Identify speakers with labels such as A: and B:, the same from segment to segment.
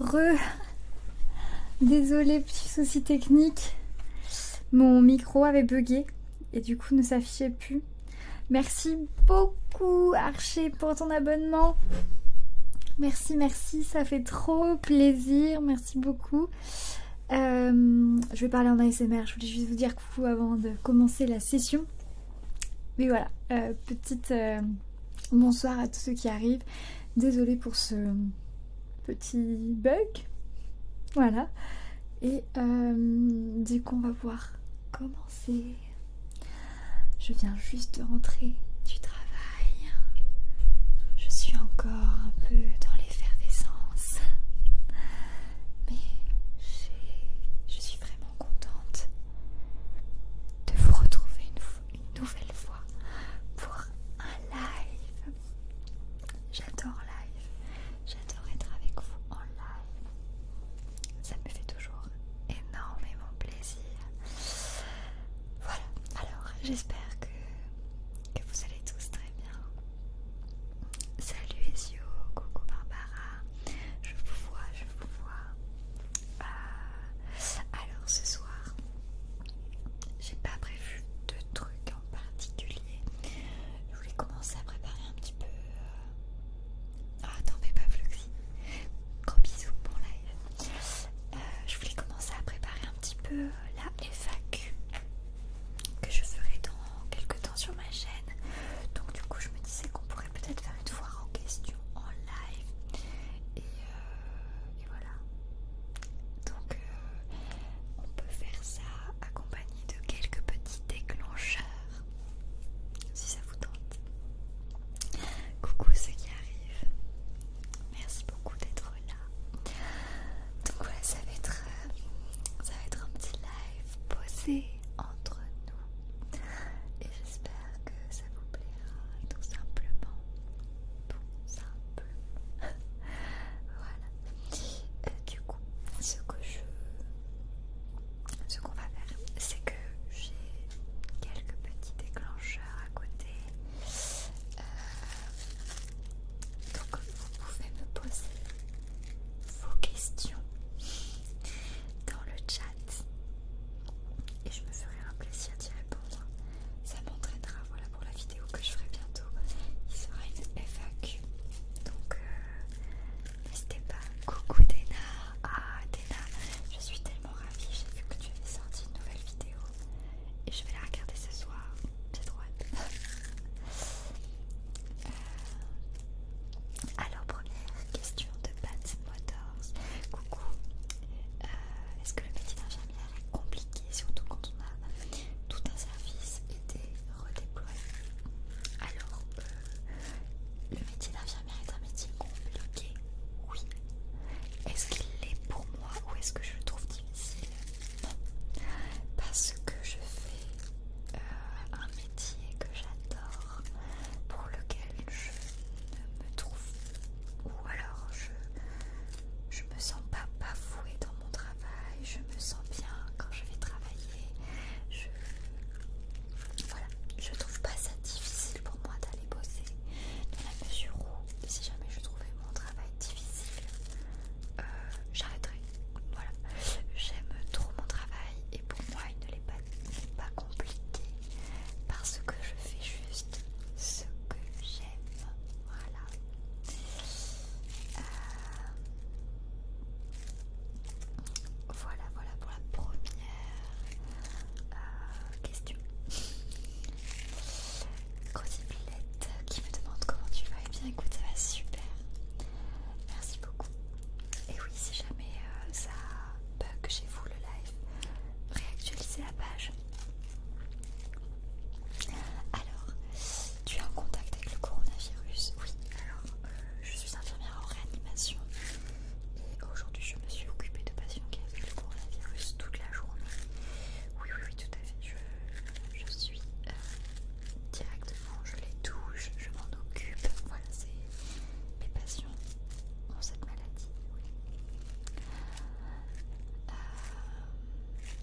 A: Re. Désolée, petit souci technique. Mon micro avait bugué et du coup ne s'affichait plus. Merci beaucoup Archer pour ton abonnement. Merci, merci, ça fait trop plaisir. Merci beaucoup. Euh, je vais parler en ASMR. Je voulais juste vous dire coucou avant de commencer la session. Mais voilà, euh, petite euh, bonsoir à tous ceux qui arrivent. Désolée pour ce petit bug. Voilà. Et euh, dès du coup, on va voir commencer. Je viens juste de rentrer du travail. Je suis encore un peu dans l'effervescence. Mais je suis vraiment contente de vous retrouver une, nouvelle fois pour un live. J'adore live, j'adore être avec vous en live. Ça me fait toujours énormément plaisir. Voilà, alors j'espère que, que vous allez tous très bien. Salut Ezio, coucou Barbara, je vous vois, je vous vois. Euh, alors ce soir, j'ai pas prévu de trucs en particulier. Je voulais commencer à préparer un petit peu. Euh, ah, pas, flux Gros bisous pour live. Euh, je voulais commencer à préparer un petit peu la FAQ que je ferai dans quelques temps sur ma chaîne. Donc, du coup, je me disais qu'on pourrait peut-être faire une fois en question en live. Et, euh, voilà. Donc euh, on peut faire ça accompagné de quelques petits déclencheurs. Si ça vous tente. Coucou ceux qui arrivent. Merci beaucoup d'être là. Donc voilà, ça va être, euh, ça va être un petit live posé entre nous. Et j'espère que ça vous plaira tout simplement. Tout simplement, voilà. Euh, du coup, ce que je... Ce qu'on va faire, c'est que j'ai quelques petits déclencheurs à côté. Euh, donc vous pouvez me poser vos questions dans le chat et je me ferai un plaisir d'y répondre. Ça m'entraînera voilà, pour la vidéo que je ferai bientôt. Il sera une FAQ. Donc euh, n'hésitez pas. Coucou Dena. Ah Dena, je suis tellement ravie. J'ai vu que tu avais sorti une nouvelle vidéo. Et je vais la regarder ce soir. J'ai droit. Euh, alors première question de Pat Coucou. Euh, est-ce que le métier d'infirmière est compliqué, surtout quand on a tout un service été redéployé Alors, euh, le métier d'infirmière est un métier compliqué. Oui. Est-ce qu'il l'est pour moi ou est-ce que je le trouve difficile Non. Parce que je fais euh, un métier que j'adore pour lequel je me trouve ou alors je je me sens pas bafouée dans mon travail, je me sens bien quand je vais travailler. Je trouve pas ça difficile pour moi d'aller bosser dans la mesure où si jamais je trouvais mon travail difficile, euh, j'arrêterais. Voilà, j'aime trop mon travail et pour moi il ne l'est pas pas, pas compliqué parce que je fais juste ce que j'aime. Voilà. Euh, voilà, voilà pour la première euh, question. Crosipilette qui me demande comment tu vas. et eh bien écoute, ça va super. Merci beaucoup. Et oui, si jamais euh, ça bug chez vous le live, réactualiser la page. Alors, tu es en contact avec le coronavirus Oui, alors euh, je suis infirmière en réanimation et aujourd'hui je me suis occupée de patients qui avaient le coronavirus toute la journée. Oui, oui, oui, tout à fait. Je, suis euh, directement, je les touche, je m'en occupe. Voilà, c'est mes patients cette maladie. Euh,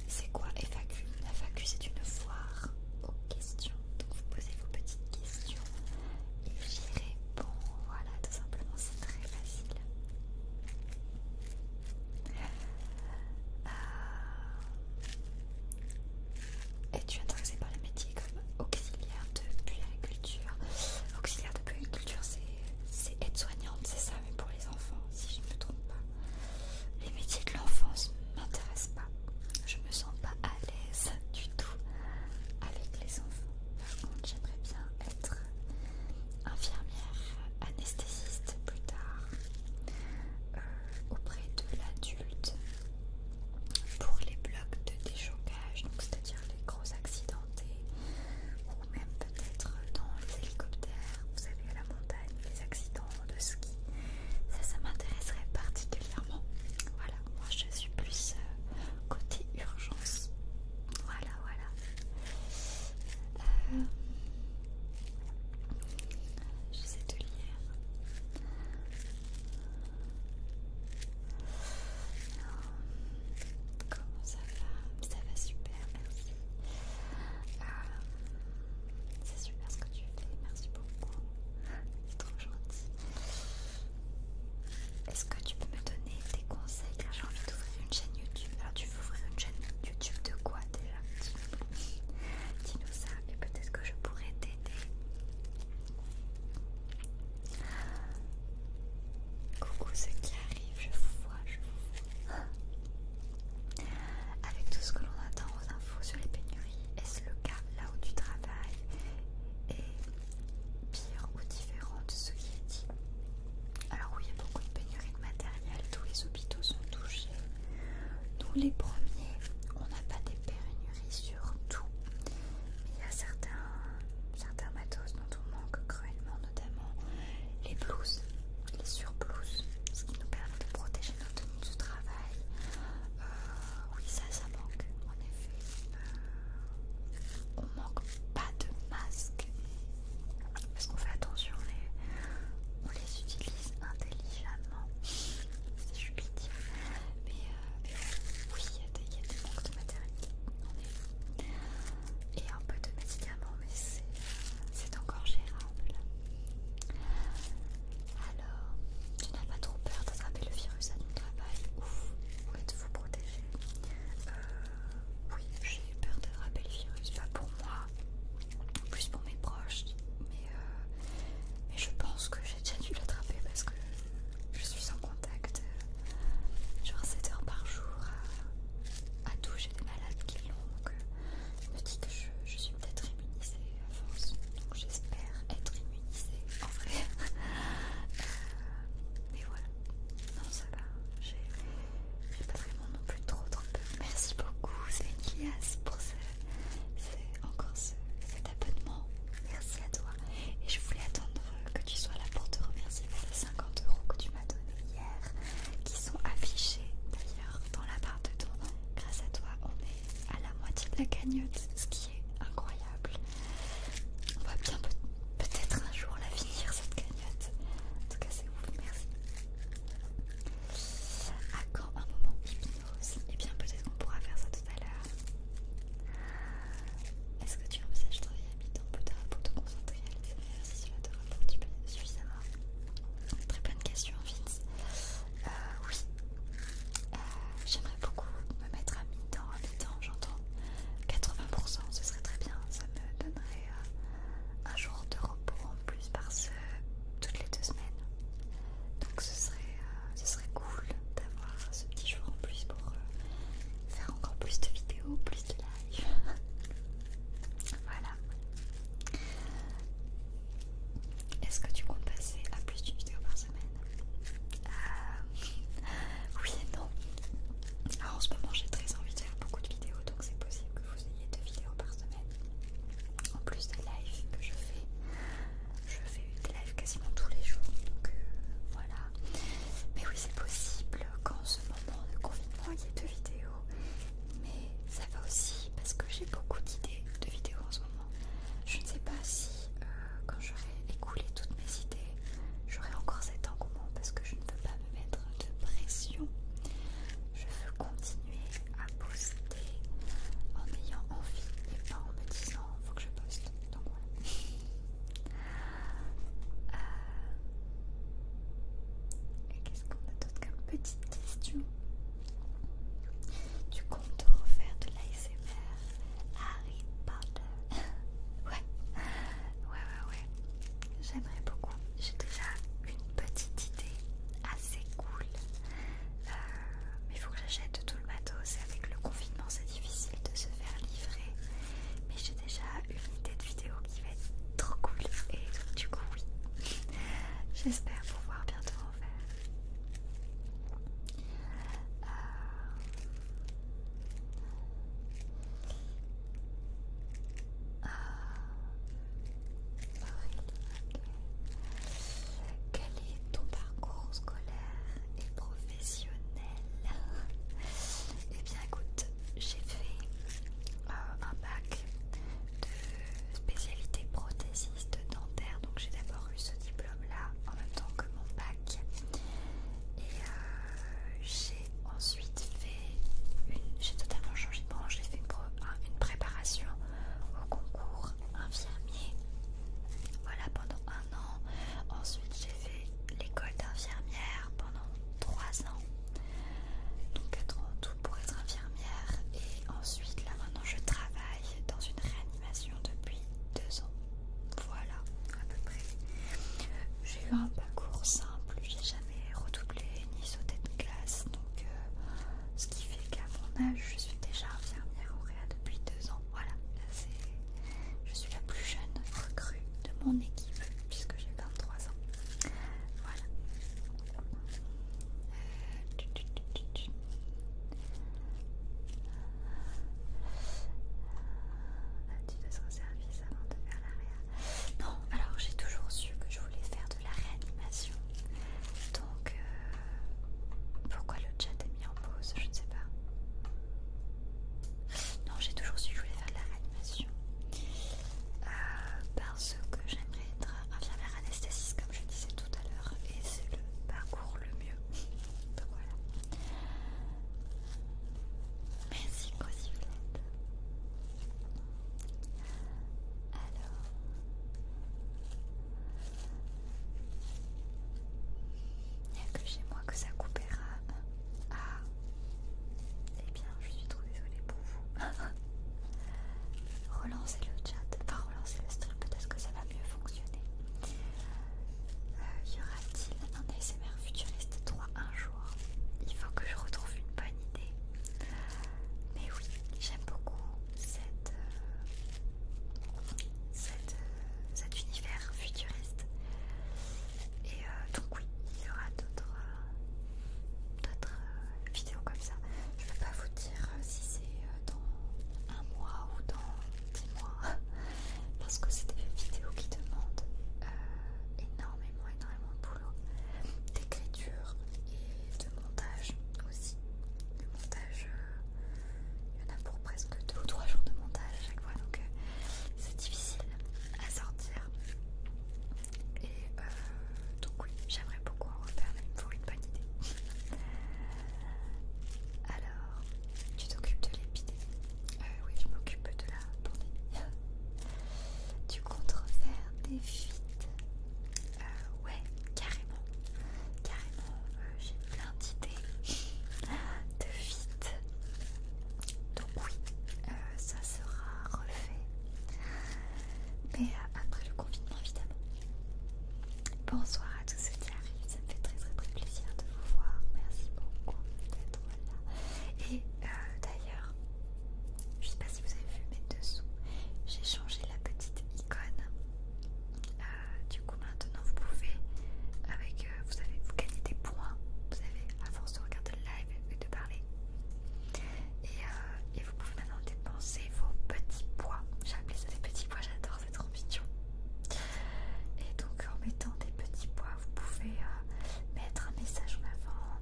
A: c'est quoi FAQ Evacu FAQ, c'est une foire aux questions. Donc vous posez vos petites questions et j'y réponds. Voilà, tout simplement, c'est très facile. Euh, es-tu intéressé par les métiers comme auxiliaire de puériculture. Auxiliaire de puériculture, c'est aide-soignante, c'est ça, mais pour les enfants, si je ne me trompe pas. Les métiers de l'enfance ne m'intéressent pas. Je me sens pas à l'aise du tout avec les enfants. Par contre, j'aimerais bien être infirmière, anesthésiste plus tard, euh, auprès de l'adulte, pour les blocs de déchocage, donc c'est-à-dire les gros accidents ou même peut-être dans les hélicoptères, vous savez, à la montagne, les accidents de ski. Ça, ça m'intéresserait particulièrement. Voilà, moi je suis plus euh, côté urgence. Voilà, voilà. Euh, je sais de lire. Comment ça va Ça va super, merci. Euh, c'est super ce que tu fais, merci beaucoup. C'est trop gentil. Est-ce que tu peux me donner des conseils Car j'ai envie d'ouvrir une chaîne YouTube. Alors tu veux ouvrir une chaîne YouTube de quoi déjà Dis-nous ça et peut-être que je pourrais t'aider. Coucou ceux qui arrive, je vois, je vous vois. Avec tout ce que l'on attend aux infos sur les pénuries, est-ce le cas là où tu travailles est pire ou différent de ce qui est dit Alors oui, il y a beaucoup de pénuries de matériel, tous les hôpitaux sont touchés. Nous les premiers, on n'a pas des pénuries sur tout. Mais il y a certains Certains matos dont on manque cruellement, notamment les blouses, les surblouses, ce qui nous permet de protéger notre tenues de travail. Euh, oui, ça, ça manque, en effet. Euh, on manque pas de masques parce qu'on fait attention, on les, on les utilise intelligemment. C'est dire, euh, Mais oui, il y, a des manques de matériel et un peu de médicaments, mais c'est encore gérable. Alors, tu n'as pas trop peur d'attraper le virus à ton travail ou, vous protéger euh, Oui, j'ai eu peur d'attraper le virus, pas pour moi, plus pour mes proches, mais, euh, mais je pense que j'ai déjà dû l'attraper parce que je suis en contact euh, genre 7 heures par jour à, tout. J'ai des malades qui l'ont donc euh, me dis que je, suis peut-être immunisée à force. Donc j'espère être immunisée en vrai. Euh, mais voilà, non, ça va. J'ai pas vraiment non plus trop trop peu Merci beaucoup, Zénias, pour encore ce, cet abonnement. Merci à toi et je voulais attendre que tu sois là pour te remercier pour les 50 euros que tu m'as donné hier qui sont affichés d'ailleurs dans la barre de ton grâce à toi on est à la moitié de la cagnotte ce qui est incroyable on va bien peut-être un jour la finir cette cagnotte en tout cas c'est ouf merci à quand un moment et eh bien peut-être qu'on pourra faire ça tout à l'heure est-ce que tu envisages de travailler à mi-temps pour te concentrer à l'ASMR si cela te rapporte suffisamment Très bonne question, Vince. Euh, oui, euh, j'aimerais beaucoup me mettre à mi-temps, à mi-temps, j'entends 80%, ce serait très bien. Ça me donnerait euh, un jour de repos en plus par toutes les deux semaines. Donc ce serait, cool d'avoir ce petit jour en plus pour faire encore plus de vidéos, plus de live.
B: voilà.
A: Est-ce que tu comptes passer à plus d'une vidéo par semaine euh, Oui et non. Alors en ce moment j'ai très envie de faire beaucoup de vidéos donc c'est possible que vous ayez deux vidéos par semaine. En plus des lives que je fais. Je fais des lives quasiment tous les jours. Donc euh, voilà. Mais oui, c'est possible qu'en ce moment de confinement, il y ait deux vidéos. Mais ça va aussi parce que j'ai beaucoup d'idées de vidéos en ce moment. Je ne sais pas si, euh, quand j'aurai écoulé toutes mes idées, j'aurai encore cet engouement parce que je ne veux pas me mettre de pression. Je veux continuer à poster en ayant envie et pas en me disant faut que je poste. Donc voilà. Euh, et Qu'est-ce qu'on a d'autre comme petite question Tu comptes refaire de l'ASMR Harry Potter Ouais, ouais, ouais, ouais. J'aimerais beaucoup. J'ai déjà une petite idée assez cool. Euh, mais il faut que j'achète tout le matos. Avec le confinement, c'est difficile de se faire livrer. Mais j'ai déjà une idée de vidéo qui va être trop cool. Et du coup, oui, j'espère pouvoir bientôt en faire. Euh, euh, quel est ton parcours scolaire et professionnel professionnelle. et eh bien écoute, j'ai fait euh, un bac de spécialité prothésiste dentaire, donc j'ai d'abord eu ce diplôme-là en même temps que mon bac. Et euh, j'ai ensuite fait une... J'ai totalement changé de branche, j'ai fait une, une préparation au concours infirmier. Voilà pendant un an. Ensuite j'ai fait l'école d'infirmière pendant 3 ans, donc 4 ans en tout pour être infirmière, et ensuite là maintenant je travaille dans une réanimation depuis 2 ans. Voilà, à peu près. J'ai eu un parcours simple, j'ai jamais redoublé ni sauté de classe, donc euh, ce qui fait qu'à mon âge je suis déjà infirmière au réa depuis 2 ans. Voilà, là, je suis la plus jeune recrue de mon équipe puisque j'ai 23 ans. Voilà. Euh, tu tu euh, son service avant de faire la Non, alors j'ai toujours su que je voulais faire de la réanimation. Donc, euh, pourquoi le chat est mis en pause Je ne sais pas. Non, j'ai toujours su que je voulais faire de la réanimation. Euh, parce que j'aimerais être infirmière anesthésiste, comme je disais tout à l'heure, et c'est le parcours le mieux. Donc voilà. Merci, Cosiflette. Alors. Il n'y a que chez moi que ça coupera. Ah, eh bien, je suis trop désolée pour vous. relancez le chat, enfin relancez le stream, peut-être que ça va mieux fonctionner. Euh, y aura-t-il un ASMR futuriste 3 un jour Il faut que je retrouve une bonne idée. Mais oui, j'aime beaucoup cette, euh, euh, cet univers futuriste. Et euh, donc oui, il y aura d'autres euh, euh, vidéos comme ça. Je ne peux pas vous dire si c'est dans un mois ou dans dix mois, parce que c'est des vidéos qui demandent énormément, énormément de boulot, d'écriture et de montage aussi. Le montage, il y en a pour presque deux ou trois jours de montage à chaque fois, donc c'est difficile à sortir et euh, donc oui, j'aimerais beaucoup en refaire, mais il me faut une bonne idée. Alors, tu t'occupes de l'épidémie euh, Oui, je m'occupe de la pandémie. tu comptes refaire des fuites euh, Ouais, carrément. Carrément, euh, j'ai plein d'idées de fuites. Donc oui, euh, ça sera refait. Mais euh, après le confinement évidemment. Bonsoir à tous ceux qui arrivent, ça me fait très très très plaisir de vous voir. Merci beaucoup d'être là. Et euh, d'ailleurs, je sais pas si vous avez vu, mais dessous, j'ai changé la petite icône. du coup maintenant vous pouvez avec vous avez vous gagnez des points vous avez à force de regarder le live de parler. Euh, et, vous pouvez maintenant dépenser vos petits pois. J'appelle ça des petits pois, j'adore, c'est trop mignon. Et donc en mettant des petits pois, vous pouvez euh, mettre un message en avant,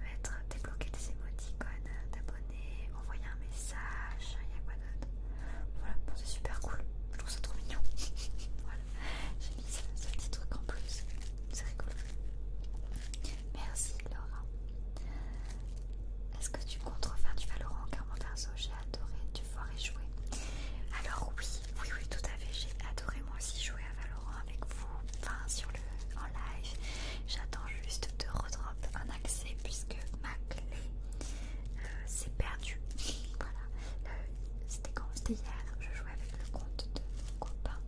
A: mettre, débloquer des émoticônes d'abonnés, envoyer un message, il y a quoi d'autre Voilà, c'est super cool, je trouve ça trop mignon. voilà, ce petit truc en plus. C'est rigolo. Merci Laura. Est-ce que tu comptes refaire du Valorant car mon j'ai adoré, tu vois et jouer. Alors oui, oui, oui, tout à fait, j'ai adoré moi aussi jouer à Valorant avec vous, enfin sur le en live. J'attends juste de redrop un accès puisque ma clé euh, s'est perdue. voilà. Euh, c'était quand C'était hier, avec le compte de mon copain.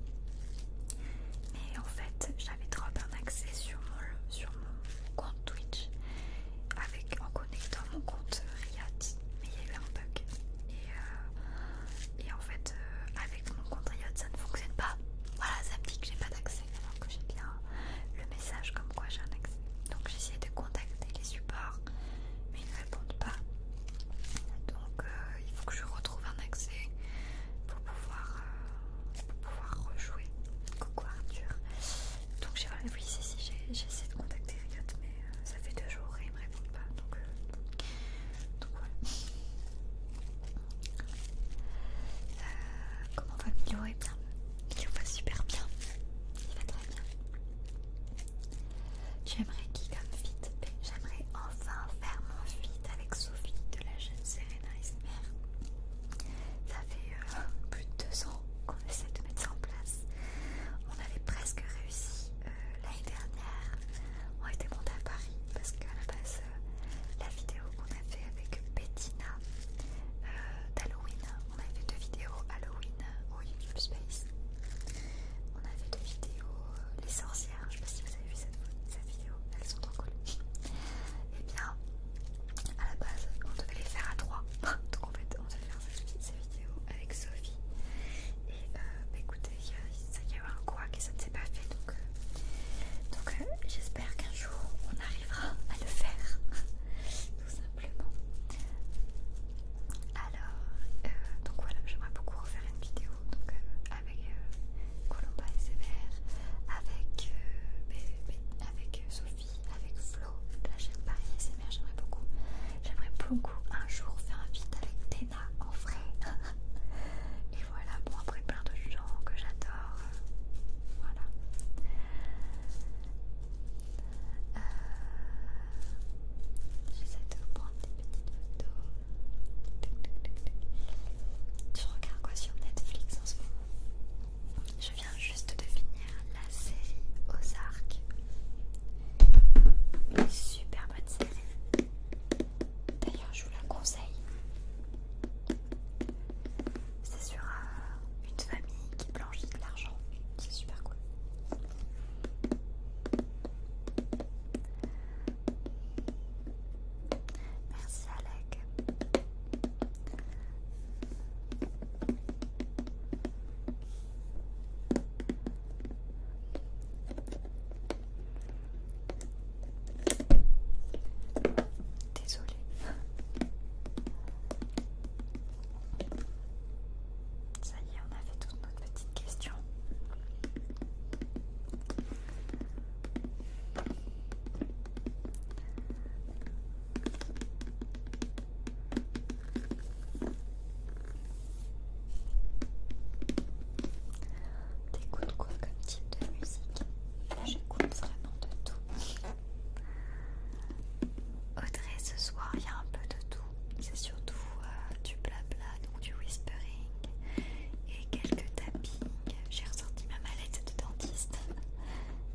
A: Mais en fait, j'avais trop un accès sur mon, sur mon compte Twitch avec, en connectant mon compte Riot. Mais il y a eu un bug. Et, euh, en fait, euh, avec mon compte Riot, ça ne fonctionne pas. Voilà, ça me dit que j'ai pas d'accès alors que j'ai bien le message comme quoi j'ai un accès. Donc j'ai essayé de contacter les supports, mais répondent pas. Donc euh, il faut que je retrouve un accès pour pouvoir, euh, pouvoir rejouer. Coucou Arthur. Donc j'ai oui c'est si j'ai essayé de contacter Riot mais euh, ça fait deux jours et ils me répondent pas. Donc, voilà. comment va Milo Il eh bien, va super bien. Il va très bien. J'aimerais qui comme fit. J'aimerais enfin faire mon fit avec Sophie de la jeune Serena Ça fait euh, plus de deux ans qu'on essaie de mettre ça en place. On avait presque réussi euh, l'année dernière. On était monté à Paris parce qu'à la euh, la vidéo qu'on a fait avec Bettina d'Halloween, on avait fait deux vidéos Halloween au YouTube Space. On avait fait deux vidéos Les sorciers je sais pas si vous avez vu cette, vidéo, elles sont trop cool. Et eh bien, à la base, on devait les faire à trois. Donc en fait, on devait faire cette vidéo avec Sophie. Et euh, bah, écoutez, il y, a eu un couac et ça ne s'est pas fait. Donc, euh, euh, j'espère qu'un jour, on arrivera à le faire. Tout simplement. Alors, euh, donc voilà, j'aimerais beaucoup refaire une vidéo euh, avec euh, Colomba et avec, avec Sophie, avec Flo de la chaîne Paris et j'aimerais beaucoup. J'aimerais beaucoup un jour faire un
B: feed avec Tena en vrai. et voilà, bon après plein de gens que
A: j'adore. Voilà. J'essaie de vous prendre des petites photos. Tu regardes quoi sur Netflix en ce moment Je viens juste de finir la série Ozark. Une super bonne série. D'ailleurs, je vous la conseille. C'est sur euh, une famille qui blanchit de l'argent. C'est super cool. Merci Alec. Désolée. Ça y est, on a fait tout une petite question. T'écoutes quoi comme type de musique J'écoute vraiment de tout. Audrey, ce soir, il y a un peu de tout. C'est surtout euh, du blabla, du whispering et quelques tappings. J'ai ressorti ma mallette de dentiste.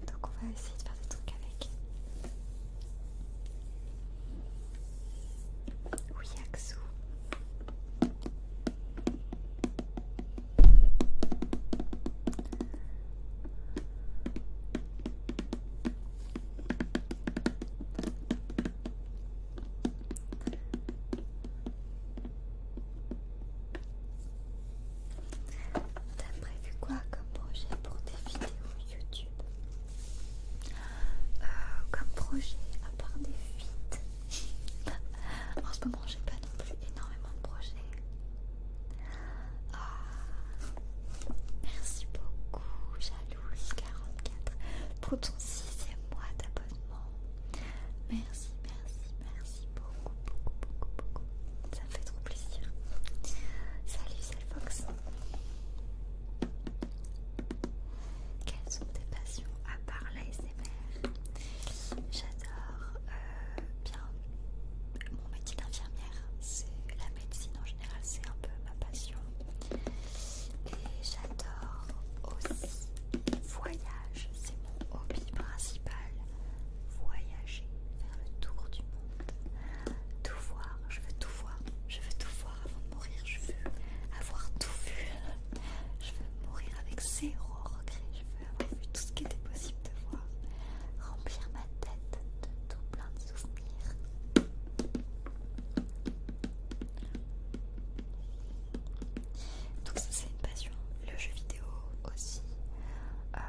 A: Donc on va essayer de faire des trucs avec. Oui, T'as prévu quoi comme projet pour tes vidéos YouTube euh, Comme projet, à part des fuites. en ce moment j'ai pas non plus énormément de projets. Ah, merci beaucoup, Jalouse44, pour ton sixième mois d'abonnement.
B: Merci, merci, merci beaucoup, beaucoup, beaucoup, beaucoup. Ça me fait trop plaisir. Salut, Fox Quelles sont tes passions à part
A: l'ASMR J'adore euh, bien mon métier d'infirmière. C'est la médecine en général, c'est un peu ma passion. Et j'adore aussi Voyage, c'est mon hobby principal. Voyager, faire le tour du monde. Tout voir, je veux tout voir. Je veux tout voir avant de mourir. Je veux avoir tout vu. Je veux mourir avec zéro regret. Je veux avoir vu tout ce qui était possible de voir. Remplir ma tête de tout plein de souvenirs. Donc ça c'est une passion, le jeu vidéo aussi. Euh,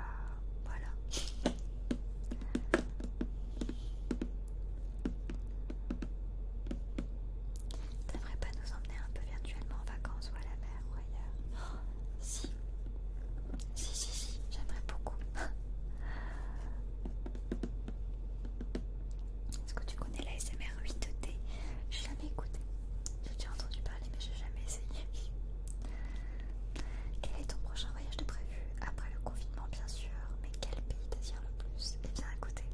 A: voilà. T'aimerais pas nous emmener un peu virtuellement en vacances ou à la mer ou ailleurs oh, Si, si, si, si, j'aimerais beaucoup. Est-ce que tu connais l'ASMR 8D l'ai jamais écouté. Je t'ai entendu parler, mais j'ai jamais essayé. Quel est ton prochain voyage de prévu Après le confinement, bien sûr, mais quel pays t'attire le plus Eh bien, écoutez,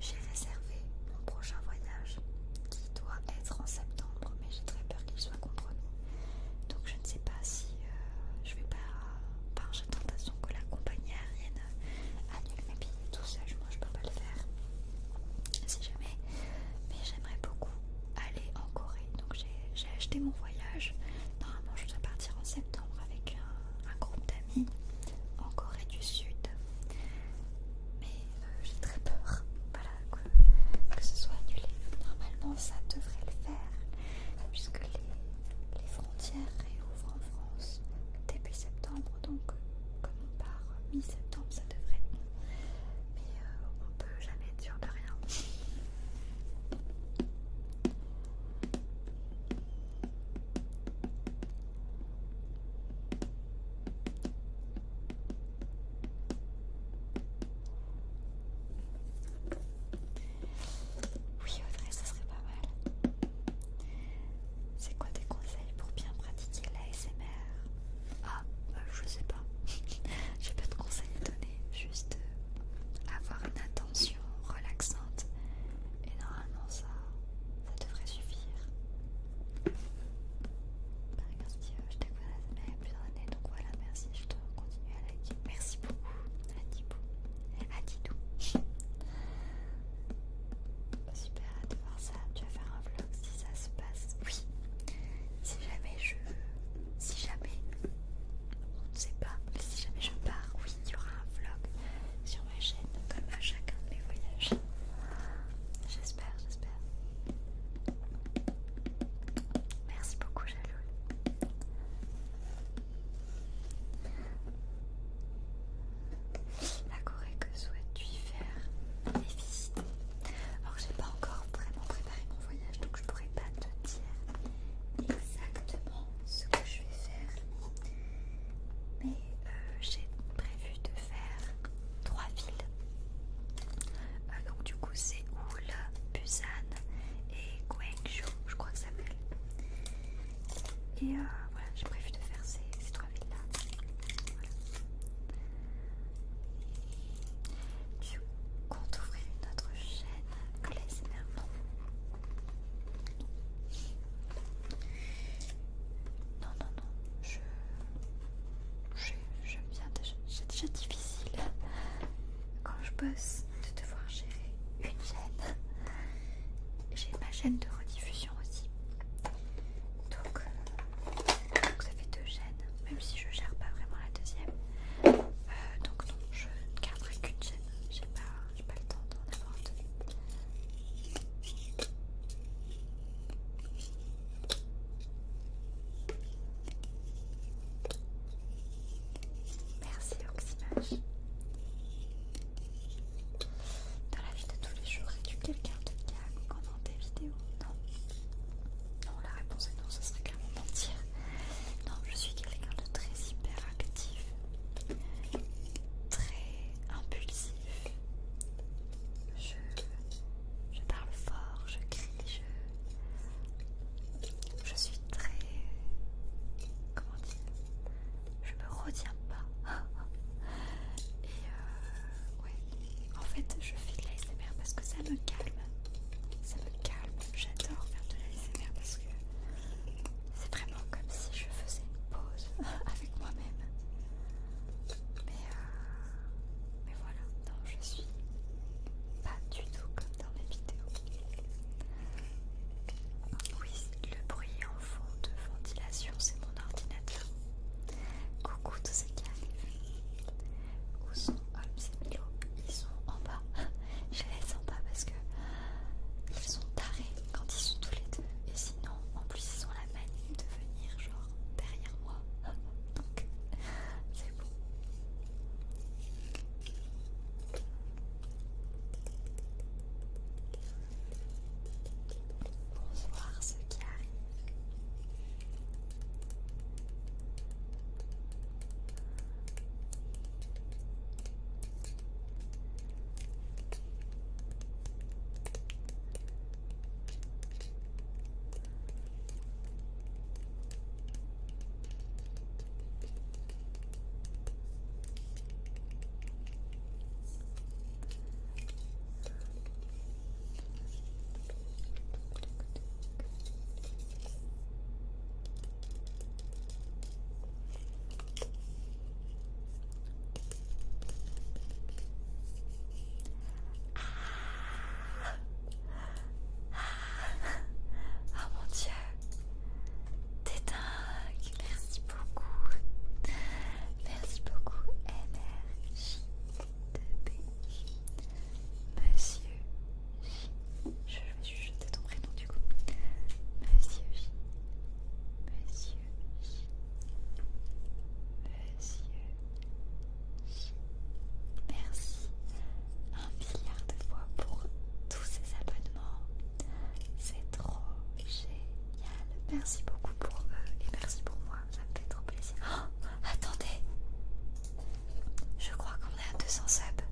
A: j'ai réservé mon prochain voyage qui doit être en septembre, mais j'ai très peur qu'il soit compromis. Donc, je ne sais pas si euh, je vais pas. Par j'ai tentation que la compagnie aérienne annule mes billets, tout ça, moi je peux pas le faire si jamais, mais j'aimerais beaucoup aller en Corée. Donc j'ai acheté mon voyage. Normalement, je voudrais partir en septembre avec un, groupe d'amis en Corée du Sud, mais euh, j'ai très peur que, ce soit annulé. Normalement, ça devrait le faire puisque les, frontières réouvrent en France depuis septembre, donc on part mi-septembre ça devrait être Mais euh, on peut jamais être sûr de rien. Oui Audrey, ça serait pas mal. C'est quoi des conseils pour bien pratiquer l'ASMR Ah, euh, je sais pas. J'ai pas de conseils à donner, juste euh, avoir une attention relaxante. Et normalement, ça, ça devrait suffire. Par exemple, si, je t'ai connu l'ASMR plusieurs années, donc voilà, merci, je te continue à liker. Merci beaucoup, à Et À doux super à te voir ça. Tu vas faire un vlog si ça se passe. Oui. Si jamais je. Si jamais. On ne sait pas. Mais si jamais je pars, oui, il y aura un vlog sur ma chaîne comme à chacun de mes voyages. J'espère, j'espère. Merci beaucoup, Jaloul.
B: La Corée, que souhaites-tu faire et visiter.
A: Or, j'ai pas encore vraiment préparé mon voyage, donc je pourrais pas te dire exactement ce que je vais faire. Mais euh, j'ai prévu de faire trois villes. Euh, donc du coup c'est Oul, Busan et Gwangju, je crois que ça s'appelle. Et euh, voilà, j'ai prévu de faire ces, ces trois tu comptes ouvrir une autre chaîne que les non. non, non, non, je. J'aime bien déjà. C'est déjà difficile quand je bosse de devoir gérer une chaîne. J'ai ma chaîne de rediffusion aussi donc, ça fait deux gènes, même si je ne gère pas vraiment la deuxième. Euh, donc non, je ne garderai qu'une gène. j'ai pas, pas le temps d'en avoir deux. Merci Oxymage. Dans la vie de tous les jours, es-tu quelqu'un de calme pendant tes vidéos Non. Non, la réponse est non, ce serait clairement mentir. Non, je suis quelqu'un de très hyperactif, très impulsif. Je, je parle fort, je crie, je, je suis très... Comment dire je me retiens pas. Et euh, ouais, en fait, je fais de l'ASMR parce que ça me calme. Ça me calme. J'adore faire de l'ASMR parce que c'est vraiment comme si je faisais une pause avec moi-même. Euh, mais, voilà, non, je suis pas du tout comme dans mes vidéos. Oui, le bruit fond de ventilation, c'est mon ordinateur. Coucou tous ceux qui arrivent. Où sont Holmes et Milo Ils sont en bas. Je les laisse en bas parce que ils sont tarés quand ils sont tous les deux. Et sinon, en plus, ils ont la manie de venir genre derrière moi. Donc, c'est bon pour voir ce qui ah, mon dieu, t'es dingue, merci beaucoup. Merci beaucoup, NRJ Monsieur J. Je suis jeté ton prénom du coup. Monsieur J. Monsieur J. Monsieur Merci un milliard de fois pour tous ces abonnements. C'est trop génial merci beaucoup pour eux et merci pour moi, ça me fait trop plaisir. Oh, attendez, je crois qu'on est à 200 subs.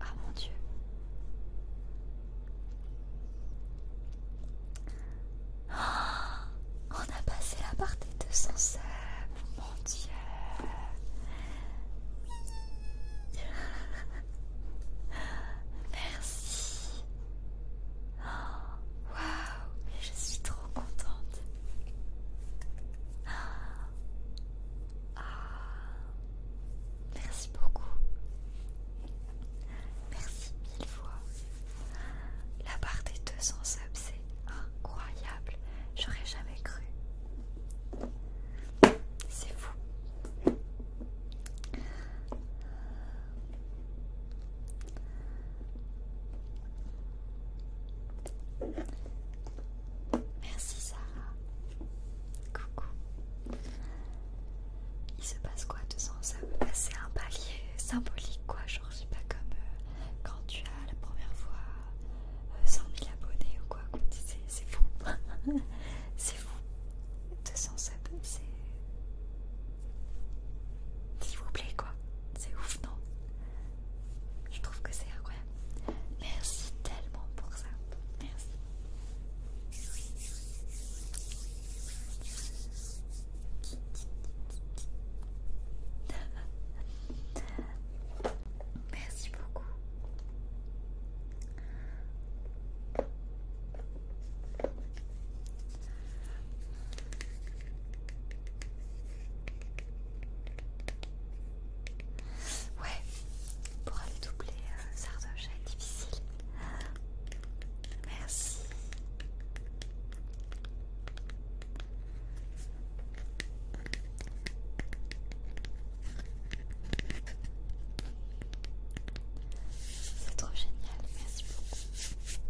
A: Ah mon dieu. Oh, on a passé la part des 200 subs, mon dieu. Merci. Oh, waouh, je suis trop contente. Ah, merci beaucoup. Merci mille fois. La part des 200 subs, c'est incroyable. J'aurais jamais cru. C'est fou. Merci Sarah. Coucou. Il se passe quoi de ça veut C'est un palier symbolique quoi, genre c'est pas comme euh, quand tu as la première fois 100 euh, 000 abonnés ou quoi. C'est fou. 207 C'est C'est. S'il vous plaît, quoi. C'est ouf, non Je trouve que c'est incroyable. Merci tellement pour ça. Merci. Merci beaucoup. Ouais, pour aller doubler euh, ça Sardoche, c'est difficile. Merci. C'est trop génial, merci beaucoup.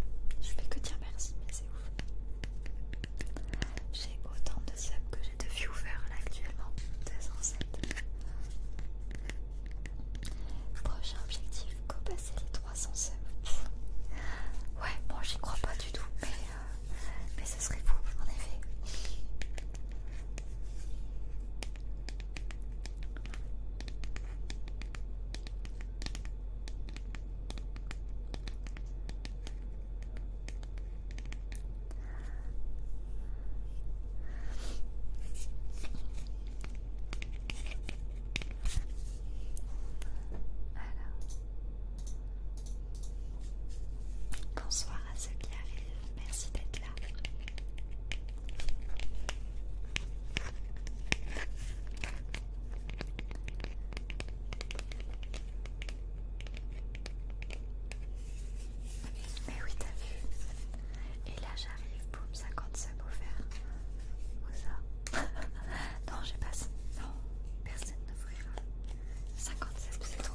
A: Je vais que dire merci, mais c'est ouf. J'ai autant de subs que j'ai de viewers là actuellement. 207. Prochain objectif, go les 300 subs. Ouais, bon, j'y crois pas du tout, mais, euh, mais ce serait fou, en effet. Bonsoir à ceux qui arrivent, merci d'être là. Mais eh oui, t'as vu. Et là, j'arrive, boum, 57 offert. Où ça Non, j'ai pas. Non, personne ne voulait. 50 c'est trop.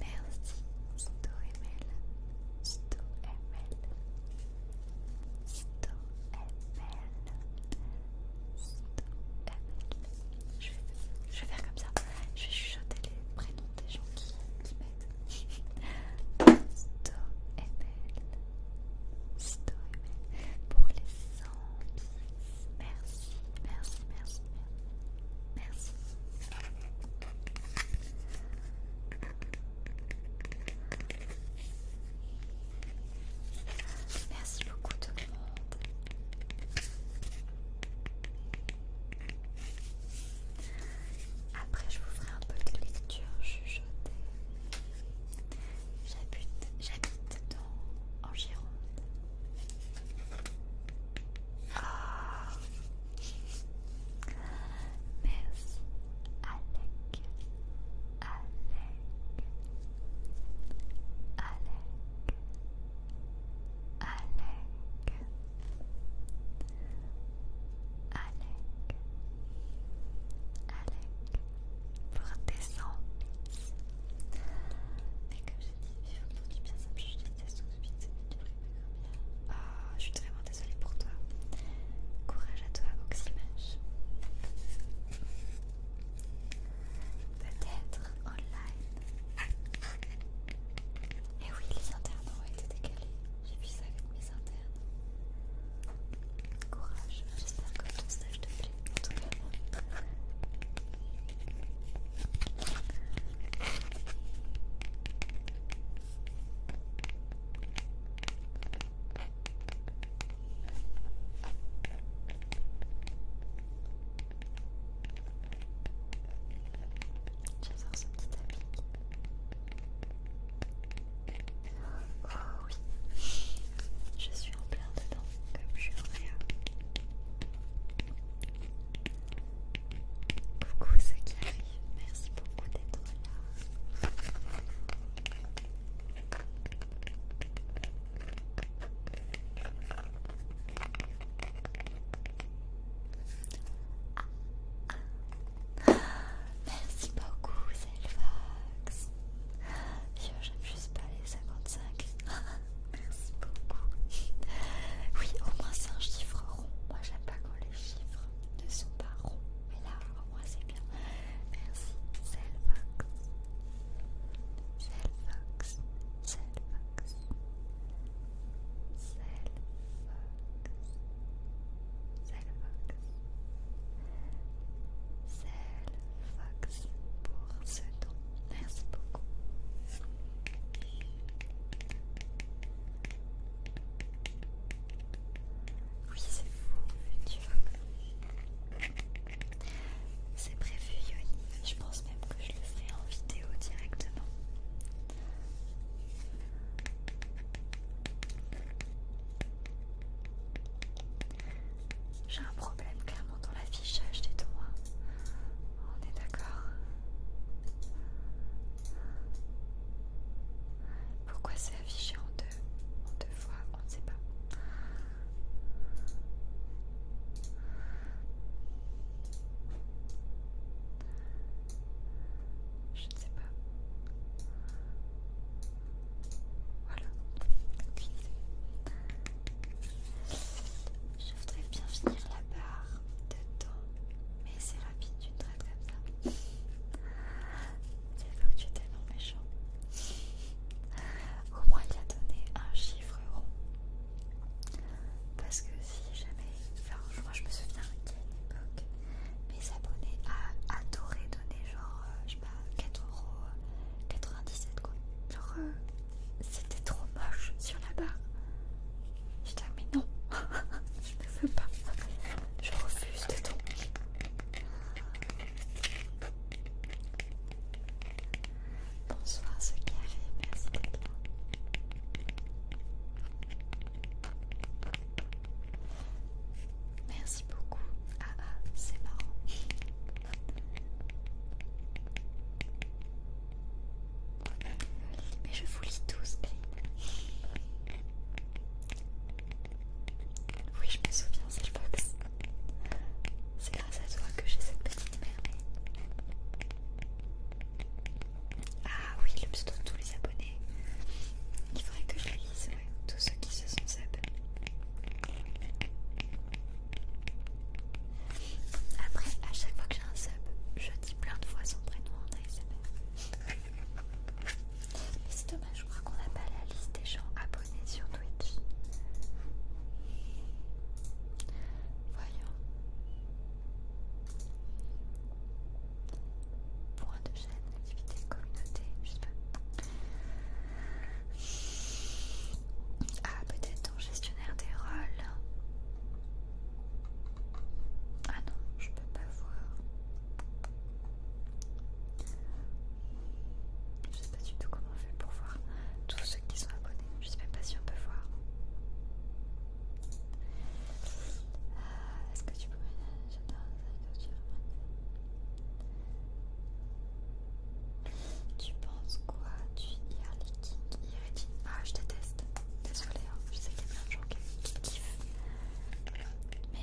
A: Merci StoML StoML StoML je je vais faire comme ça, je vais chuchoter les prénoms des gens qui, qui m'aident. StoML StoML pour les 100 merci, merci, merci, merci, merci. Merci beaucoup tout le monde. Après, je vous ferai un peu de lecture chuchotée. J'habite en Gironde. Ah, Merci Alex, Alec, Allez Alec, Allez Alec, pour descendre. Mais comme j'ai dit, il du bien, ça ah, je suis vraiment désolée pour toi. Courage à toi, Oxymage. Peut-être online. Et eh oui, les internes ont été décalés. J'ai vu ça avec mes internes. Courage, j'espère que ton stage te plaît. J'adore ce petit tapis. Oh oui, je suis en plein dedans, comme je suis en rien. Coucou ce qui arrive. merci beaucoup d'être là. Merci beaucoup, Zelvax. J'aime juste pas les 55. Merci beaucoup. Oui, au moins c'est un chiffre rond. Moi j'aime pas quand les chiffres ne sont pas ronds. Mais là, au moins, c'est bien. Merci, C'est le Selvox. C'est le Selvox pour ce don. Merci beaucoup. Oui, c'est fou, C'est prévu, Yoni. Je pense même que je le ferai en vidéo directement. J'ai un problème clairement dans l'affichage des doigts On est d'accord. Pourquoi c'est affiché en deux, en deux fois On ne sait pas.
B: Je ne sais pas. Voilà. Je voudrais bien finir la barre de temps, mais c'est rapide, tu te traites comme ça. C'est faut que tu étais
A: non méchant. Au moins, il a donné un chiffre rond. Parce que si jamais. Enfin, moi je me souviens qu'à une époque, mes abonnés adoraient donner genre, euh, je sais pas, 4,97€ quoi. Genre, euh, c'était trop moche sur la barre. Je dis ah, mais non, je ne veux pas, je refuse de tout. Bonsoir ce carré, merci d'être là. Merci beaucoup. Ah ah, c'est marrant. Mais je vous lis tous, oui, je me souviens, Sagebox. C'est grâce à toi que j'ai cette petite merveille. Ah oui, le pseudo de tous les abonnés. Il faudrait que je les lise, Tous ceux qui se sont sub. Après, à chaque fois que j'ai un sub, je dis plein de fois son prénom en ASMR c'est dommage, je crois qu'on n'a pas la liste des gens abonnés sur Twitch. Voyons. Point de chaîne, activité, communauté, je sais pas. Ah, peut-être en gestionnaire des rôles. Ah non, je peux pas voir. Je sais pas du tout comment on fait pour voir tous ceux qui sont abonnés. Je sais même pas si on peut voir. Ah, est-ce que tu peux J'adore les Tu penses quoi du Early King Ah, je déteste. Désolée, hein. je sais qu'il y a plein de gens qui kiffent. Mais, euh,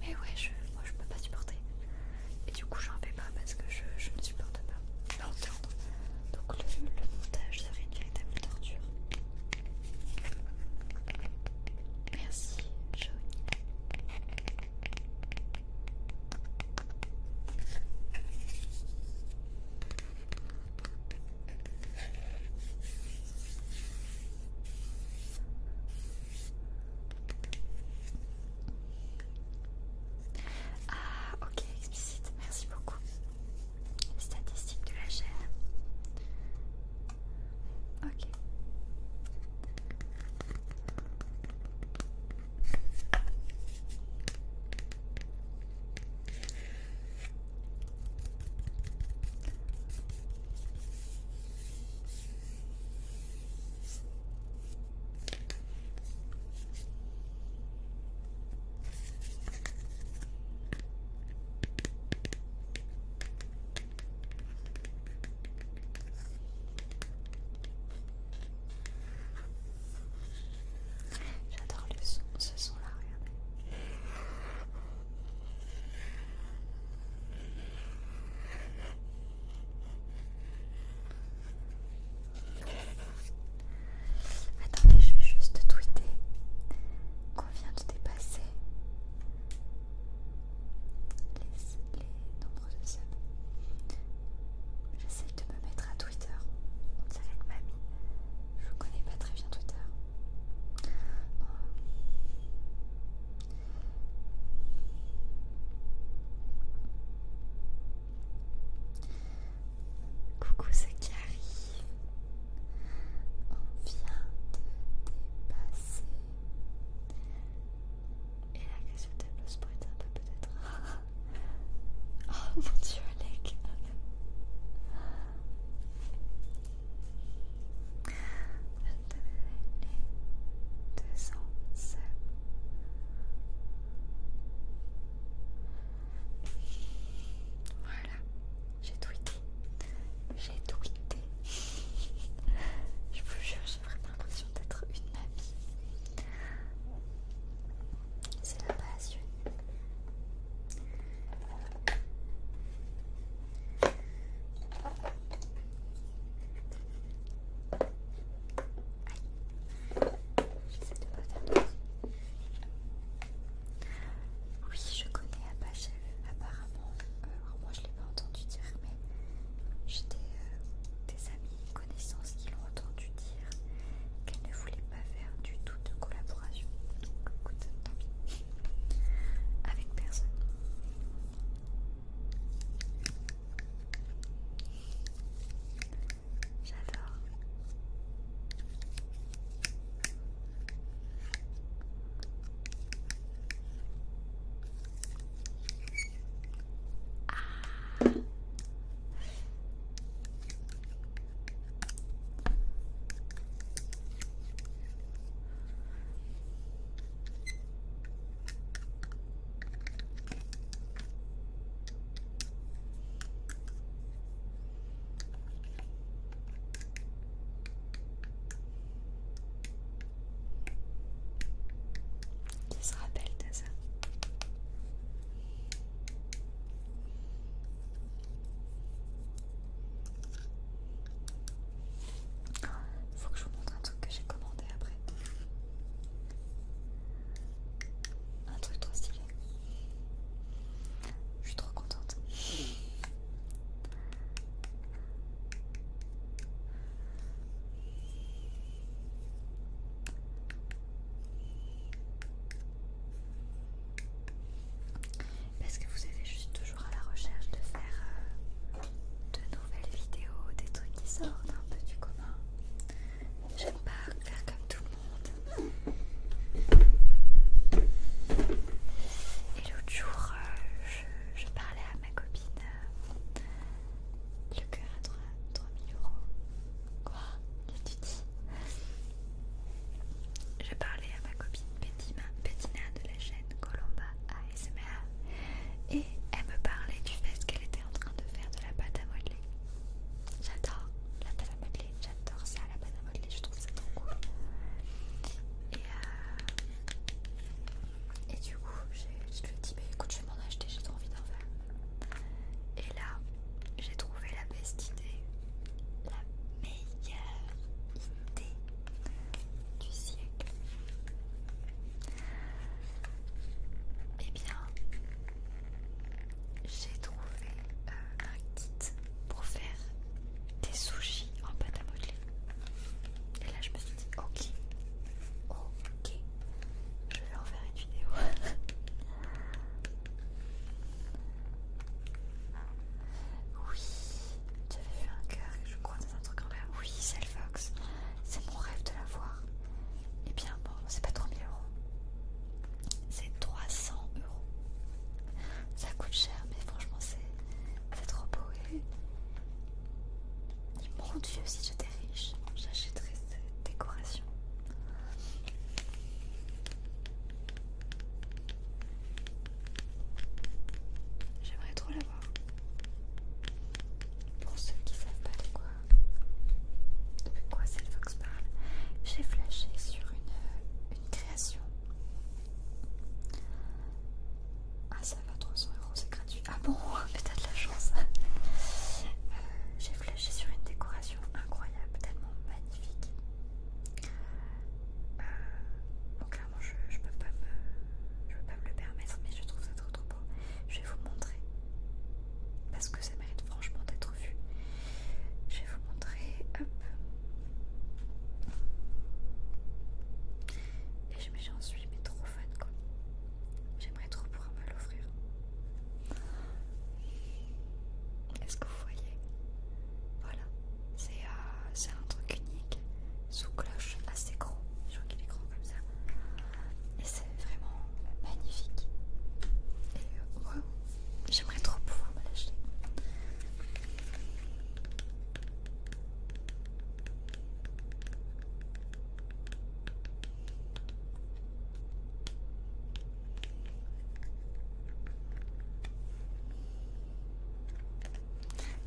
A: mais ouais, je, moi je peux pas supporter. Et du coup, j'en fais pas parce que je, ne supporte pas Donc, le, le montage serait une véritable torture. Merci, Johnny. Ah, ok, explicite, merci beaucoup. Statistiques de la chair Ok. J'adore le son, ce son là, regardez. Attendez, je vais juste tweeter qu'on vient de dépasser les, nombres de J'essaie de me mettre à Twitter. On dirait que mamie je connais pas très bien Twitter. Coucou, c'est Carrie. On vient de dépasser. Et la question de tableau sport est un peu peut-être. oh mon dieu, Alec! Voilà, j'ai tweeté. J'ai tweeté. Je vous jure, j'ai vraiment l'impression d'être une amie. C'est la J'essaie Oui, je connais Apache apparemment. Euh, moi je l'ai pas entendu dire, mais j'étais euh, des, amis, connaissances qui l'ont entendu dire qu'elle ne voulait pas faire du tout de collaboration. écoute, tant pis avec personne. J'adore. Ah. Qui se rappelle de ça il Faut que je vous montre un truc que j'ai commandé après. Un truc trop stylé. Je suis trop contente parce que vous êtes juste toujours à la recherche de faire euh, de nouvelles vidéos, des trucs qui sortent un peu du commun. J'aime pas faire comme tout le monde. Et l'autre jour, euh, je, parlais à ma copine. Euh, le cœur à 3000 euros. Quoi Qu'est-ce que tu dis Je parlais à ma copine d'Ima Petina de la chaîne Colomba ASMR et elle me parlait du fait qu'elle était en train de faire de la pâte à modeler. J'adore la pâte à modeler, j'adore ça, la pâte à modeler, je trouve ça trop cool. Et, euh, du coup, je lui ai dit, bah, écoute, je vais m'en acheter, j'ai trop envie d'en faire. Et là, j'ai trouvé la best idée, la meilleure idée du siècle. et eh bien, j'ai trouvé euh, un kit pour faire des sushis en pâte à modeler. Et là, je me suis dit, ok, ok, je vais en faire une vidéo. Oui, j'avais vu un cœur, je crois, c'est un truc en l'air. Oui, c'est le Fox. C'est mon rêve de la voir. Eh bien, bon, c'est pas 3000 euros. C'est 300 euros. Ça coûte cher, mais franchement, c'est trop beau. et mon dieu, si j'étais riche, j'achèterais cette décoration. J'aimerais trop voir. Pour ceux qui savent pas de quoi, c'est quoi fox parle, j'ai flashé sur une, création. Ah ça va, 300 euros, c'est gratuit. Ah bon, mais t'as de la chance. Euh, j'ai flashé sur une décoration incroyable, tellement magnifique. Euh, clairement, je, peux pas me, je pas me le permettre, mais je trouve ça trop trop beau. Je vais vous montrer parce que ça mérite franchement d'être vu. Je vais vous montrer, hop. Et j'en suis mais trop fan quoi. J'aimerais trop pouvoir me l'offrir. Est-ce que vous voyez Voilà. Euh, c'est un truc unique sous cloche assez gros. Je crois qu'il est grand comme ça. Et c'est vraiment magnifique. Et euh, j'aimerais trop pouvoir me l'acheter.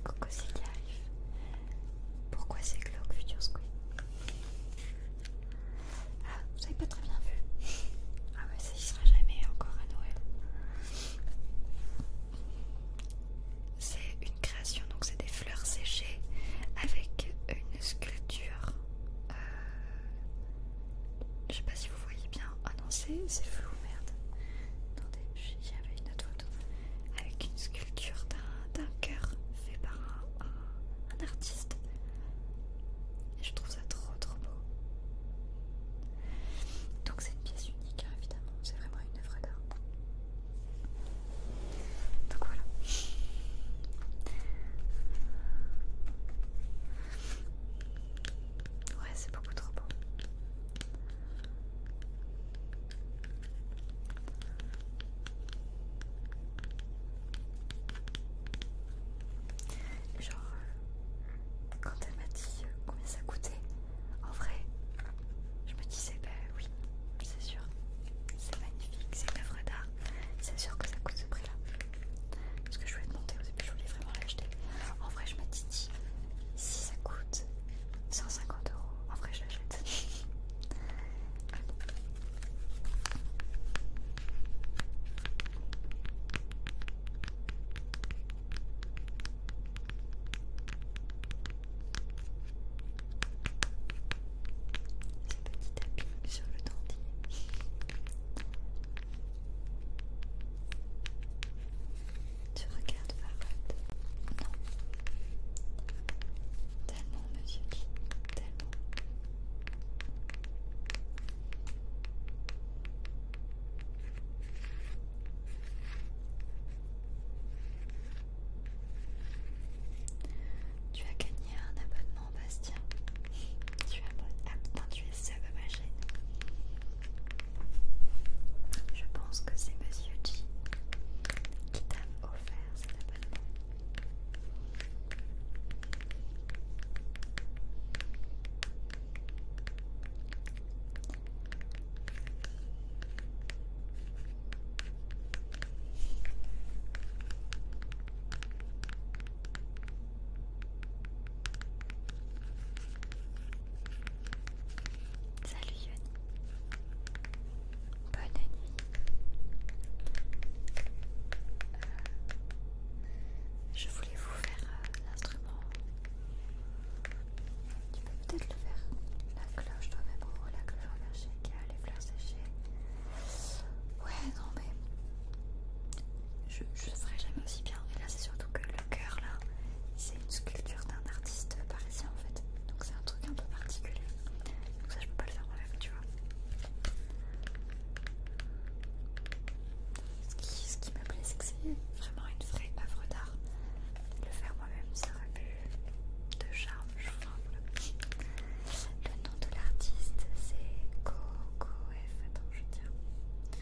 A: Coco c'est qui arrive. Pourquoi c'est glauque Future Squid Ah, vous avez pas très bien vu. Ah ouais, ça y sera jamais encore à Noël. C'est une création, donc c'est des fleurs séchées avec une sculpture. je euh, je sais pas si vous voyez bien. Ah non, c'est flou, merde. Attendez, j'avais une autre photo avec une sculpture d'un cœur fait par un, artiste. Et je trouve ça trop trop beau. Donc c'est une pièce unique, hein, évidemment. C'est vraiment une œuvre d'art. Donc voilà. Ouais, c'est beaucoup trop beau. Genre, euh, quand elle m'a dit euh, combien ça coûtait, en vrai, je me disais, bah oui, c'est sûr, c'est magnifique, c'est une œuvre d'art, c'est sûr que ça coûte ce prix-là. Parce que je voulais montrer, au début, je voulais vraiment l'acheter. En vrai, je m'étais dit, si ça coûte 150 euros. En vrai, je l'achète. C'est un petit tapis sur le dentier. Tu regardes Farad Non. Tellement, monsieur tellement. Tu as gagné un abonnement, Bastien. Tu as ah, non, tu es sub à ma chaîne. Je pense que c'est Monsieur G qui t'a offert cet abonnement. Salut Yoni. Bonne nuit. Euh, je voulais vous faire euh, l'instrument. Tu peux peut-être le faire. La cloche, toi-même, mettre la cloche qu'il qui a les fleurs séchées. Ouais, non, mais. Je ne ferai jamais aussi bien. Et là, c'est surtout que le cœur, là, c'est une sculpture d'un artiste parisien en fait. Donc c'est un truc un peu particulier. Donc ça je peux pas le faire moi-même, tu vois. Ce qui, ce qui me plaît, c'est que c'est vraiment une vraie œuvre d'art. Le faire moi-même, ça aurait pu de charme, je crois. Le nom de l'artiste, c'est Coco F. Attends, je tiens.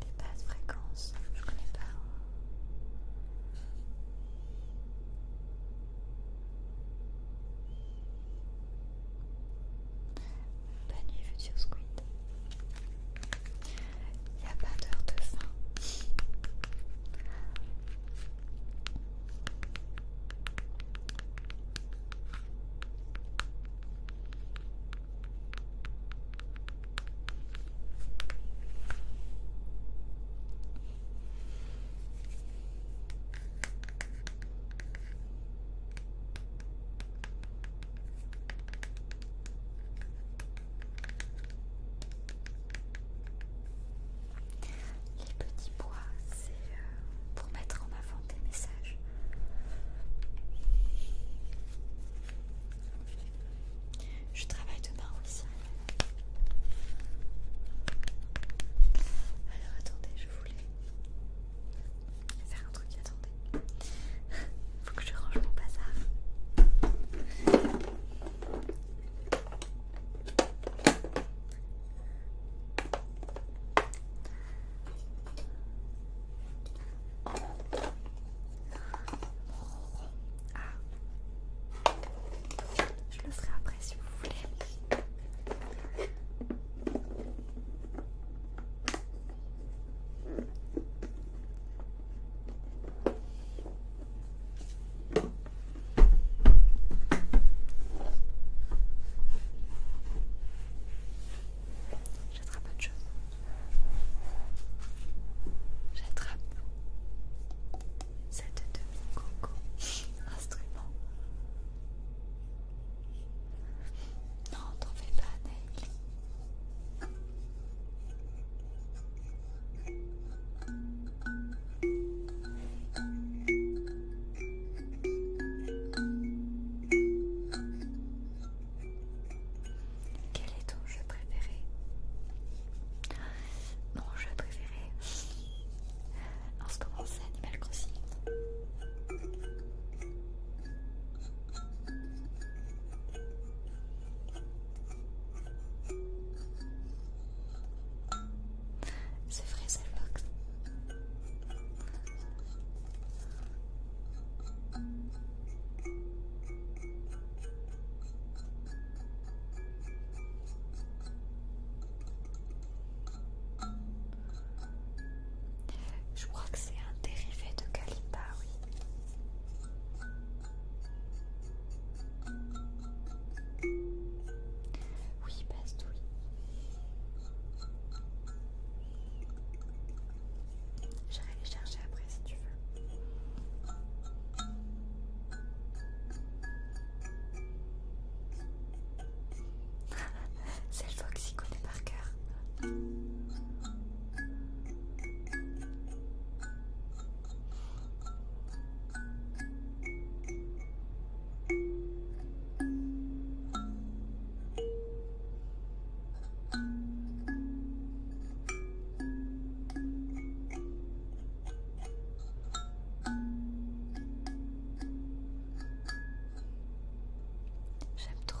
A: Des basses fréquences, je connais pas. Bonne hein. nuit, futur squid. Il n'y a pas d'heure de fin. Les petits bois c'est euh, pour mettre en avant des message. Je travaille demain aussi. Alors attendez, je voulais faire un truc, attendez. Faut que je range mon bazar. Ah. Je le ferai après si vous voulez. J'attrape autre chose. J'attrape cette demi-coco instrument. Non, t'en fais pas, Neil. Quel est ton jeu préféré Mon jeu préféré En ce moment c'est Animal Crossing. C'est vrai, box. Je crois que c'est un dérivé de Kalimba, oui. Oui, Bastouille. J'irai les chercher après si tu veux. C'est le Fox qui connaît par cœur. J'aime trop.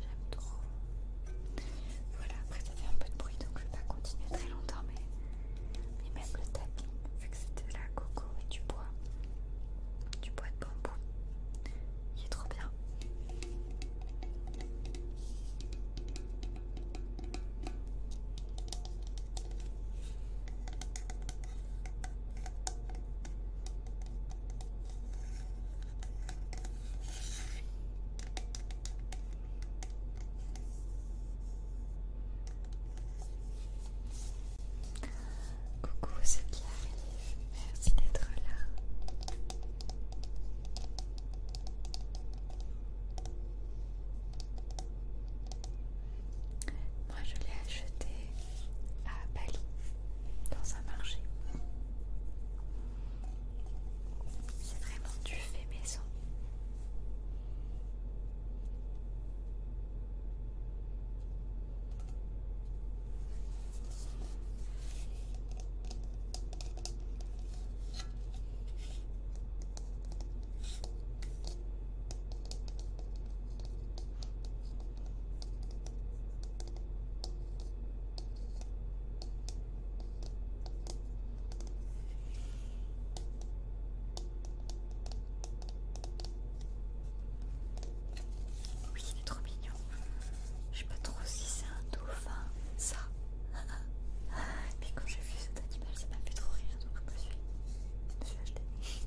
A: J'aime trop. Voilà, après ça fait un peu de bruit donc je vais pas continuer très longtemps, mais, même le tapping, vu que c'était la coco et du bois, du bois de bambou, il est trop bien. Coucou c'est qui merci d'être là. Moi je l'ai acheté à Bali dans un marché. C'est vraiment du fait maison. Oui, il est trop mignon. Je sais pas trop si c'est un dauphin, ça. Mais quand j'ai vu cet animal, ça pas plus trop rien. donc je me suis, je me suis acheté.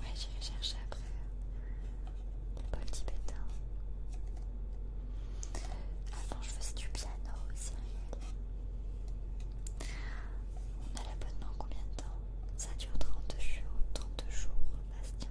A: Ouais, j'irai chercher après le bol tibétain. Avant, je faisais du piano, On a l'abonnement combien de temps Ça dure trente jours, Trente jours, Bastien.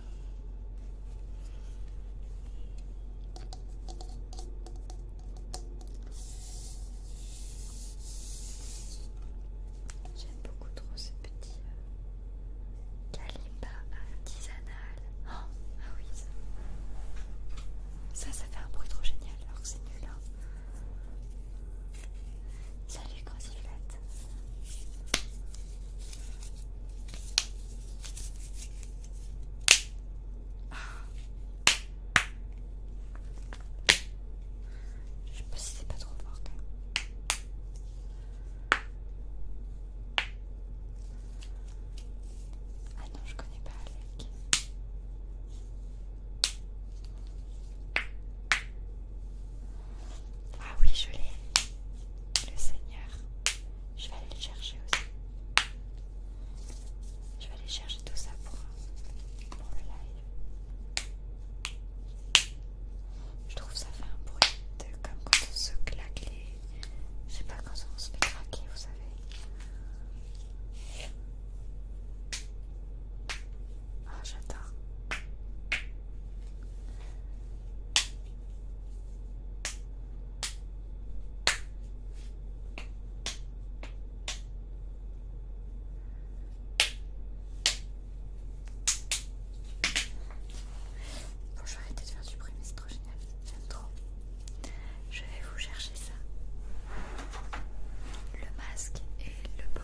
A: J'aime beaucoup trop ce petit euh, calibre artisanal. Oh, ah oui, ça. ça, fait un bruit trop génial alors que c'est nul. Hein. Salut, grosse je sais pas si c'est pas trop fort quand même. Ah non, je connais pas Alec. Ah oui, je l'ai. Le Seigneur. Je vais aller le chercher aussi. Je vais aller chercher tout ça pour, le live. Je trouve ça fait un bruit de, comme quand on se claque Je sais pas quand on se fait craquer, vous savez. Ah, oh, j'adore. Bon, je vais arrêter de faire du bruit, mais c'est trop génial. J'aime trop. Je vais vous chercher ça. Le masque et le bol.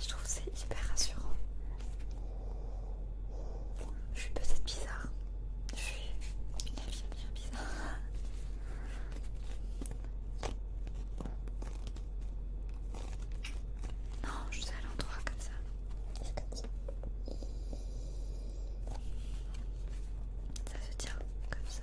A: Je trouve c'est hyper rassurant. Je suis peut-être bizarre. Je
B: suis bien bizarre. Non, je suis à l'endroit comme ça ça se tient comme ça.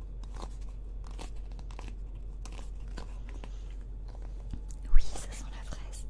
B: Oui, ça sent la fraise.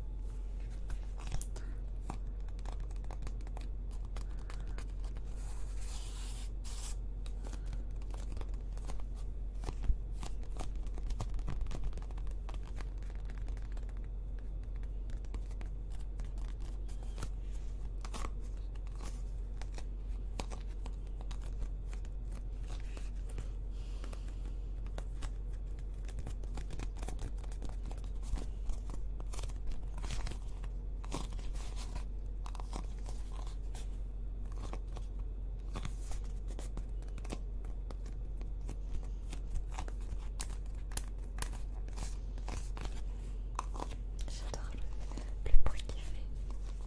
A: J'adore le, bruit qu'il fait.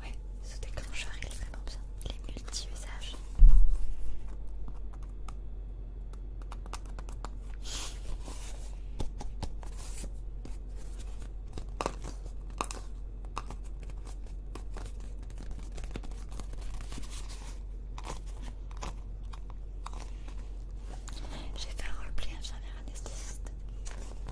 A: Ouais, ce déclencheur il est vraiment bien, il multi usages j'ai fait un roleplay infirmière anesthésiste. Mmh.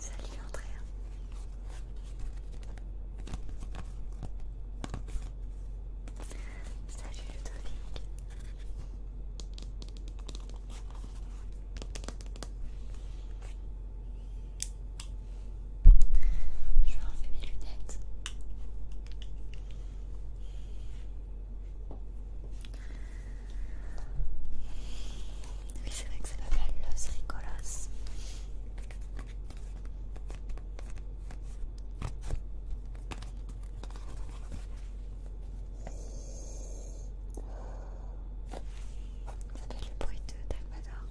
A: Salut Andrea. Salut Ludovic. Je vais enlever mes lunettes. Oui, c'est vrai que la belle Los Ricolas. Ça fait le bruit de Dalmador.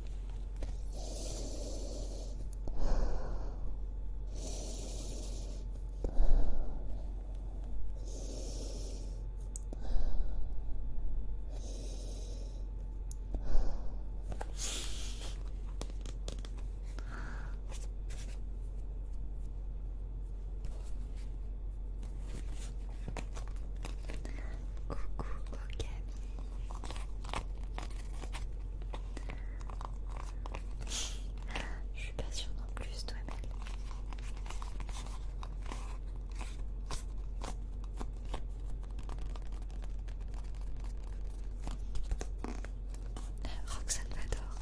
A: Coucou Okami. Je suis pas sûre non plus, toi, belle. Roxane adore.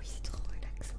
A: Oui, c'est trop relaxant.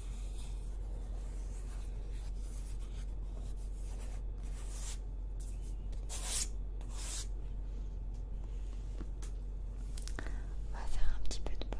A: On va faire
B: un petit peu de bol.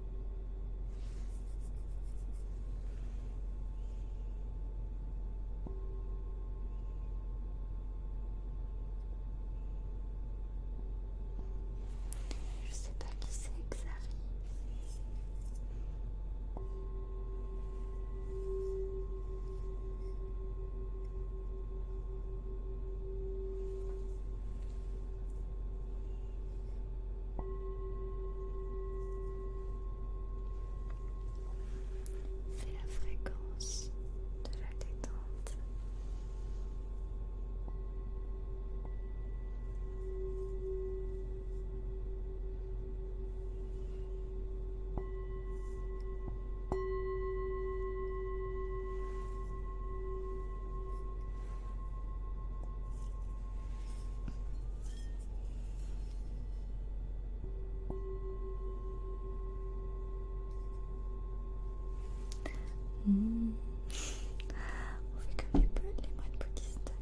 B: Je sais pas qui c'est que ça arrive. Fais la fréquence de la détente. On fait comme les, les moines bouddhistes.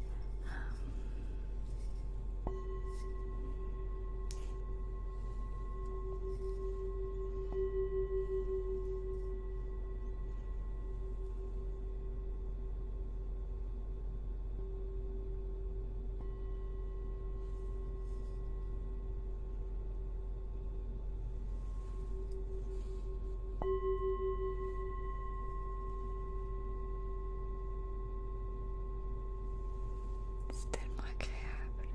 A: C'est tellement agréable.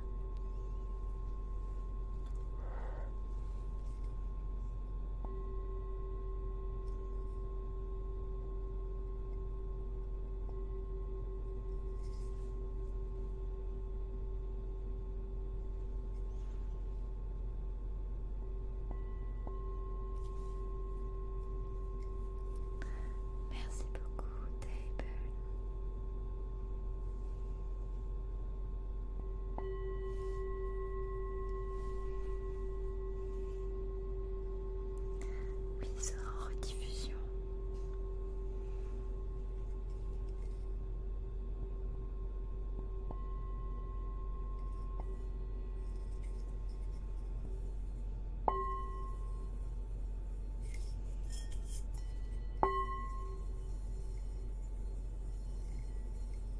A: Merci beaucoup, Table. Oui, c'est en rediffusion.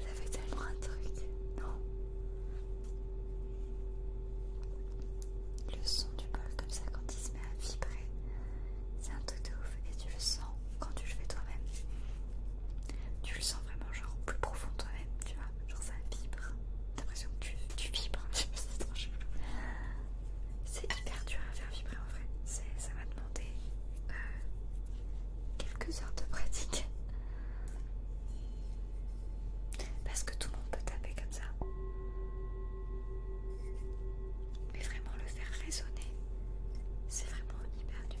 A: Ça fait tellement un truc, non le son du bol comme ça quand il se met à vibrer. C'est un truc de ouf et tu le sens quand tu le fais toi-même. Tu le sens vraiment genre plus profond toi-même, tu vois. Genre ça vibre. T'as l'impression que tu, tu vibres. c'est trop chelou. C'est hyper dur à faire vibrer en vrai. Ça m'a demandé euh, quelques heures de pratique. Parce que tout le monde peut taper comme ça. Mais vraiment le faire résonner, c'est vraiment hyper dur.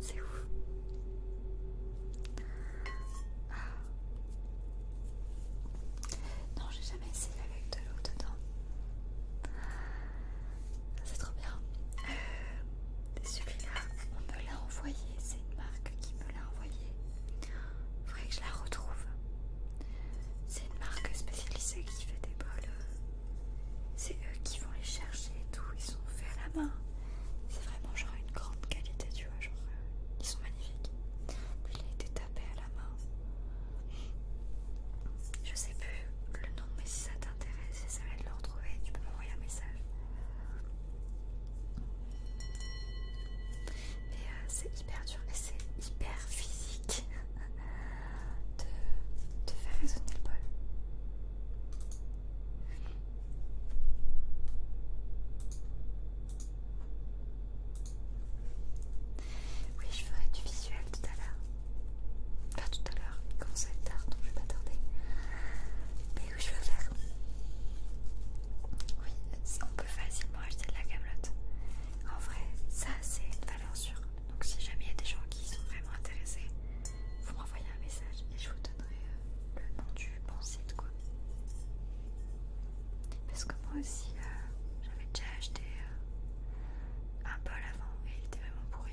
A: C'est ouf. Non, j'ai jamais essayé avec de l'eau dedans. C'est trop bien. Euh, celui-là, on me l'a envoyé. C'est une marque qui me l'a envoyé. Il faudrait que je la retrouve. C'est une marque spécialisée qui fait des bols. Euh, c'est eux qui vont les chercher et tout. Ils sont faits à la main. C'est vraiment genre une grande qualité, tu vois. Genre, euh, ils sont magnifiques. Il a été tapé à la main. Je sais plus le nom, mais si ça t'intéresse, ça va de le retrouver. Tu peux m'envoyer un message. Mais euh, c'est hyper dur mais c'est hyper physique de, faire résonner le bol. Oui, je ferai du visuel tout à l'heure. Enfin, tout à l'heure, il commence à être tard donc je vais pas tarder. Mais oui, je faire. Oui, on peut facilement acheter de la camelote. En vrai, ça c'est une valeur sûre. Donc si jamais il y a des gens qui sont vraiment intéressés, vous m'envoyez un message et je vous donnerai euh, le nom du bon site quoi. Parce que moi aussi, euh, j'avais déjà acheté euh, un bol avant et il était vraiment pourri.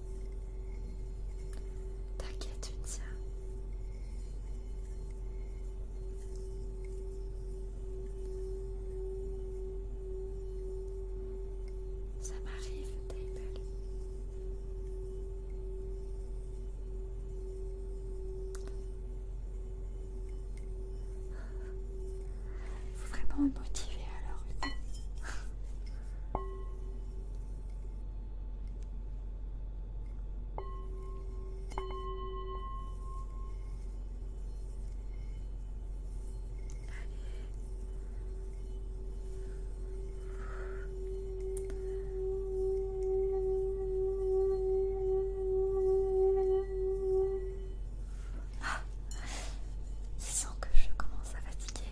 A: T'inquiète, tu ça. Ça m'arrive, Table. Faut vraiment me motiver alors. Ah, il sent que je commence à fatiguer.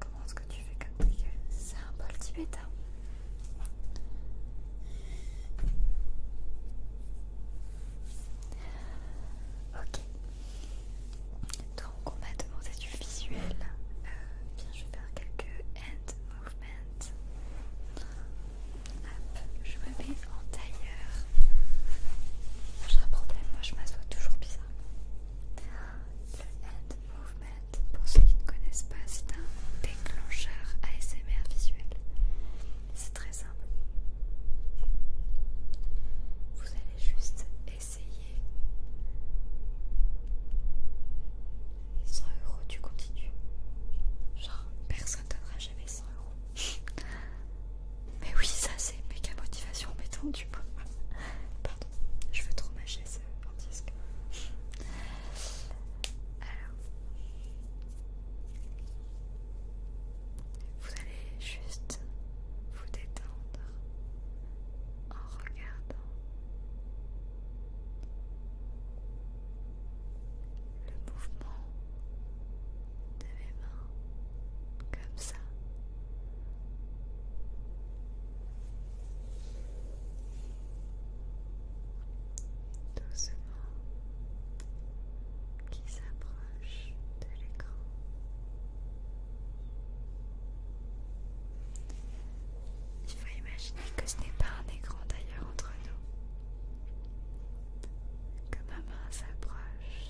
A: Comment est-ce que tu fais comme ça C'est un bol tibétain. Ok. Donc on m'a demandé du visuel. eh bien, je vais faire quelques hand je me mets en tailleur. J'ai un problème, moi je m'assois toujours bizarre. Le hand movement, pour ceux qui ne connaissent pas, c'est un déclencheur ASMR visuel. C'est très simple. Vous allez juste essayer. 100 euros, tu continues. Genre, personne personne donnera jamais 100 euros. Mais oui, ça c'est méga motivation, mettons du coup. Pardon, je veux trop mâcher ça euh, en disque. Alors, vous allez juste vous détendre en regardant le mouvement de mes mains comme ça. Doucement qui s'approche de l'écran. Il faut imaginer que ce n'est pas un écran d'ailleurs entre nous, que ma main s'approche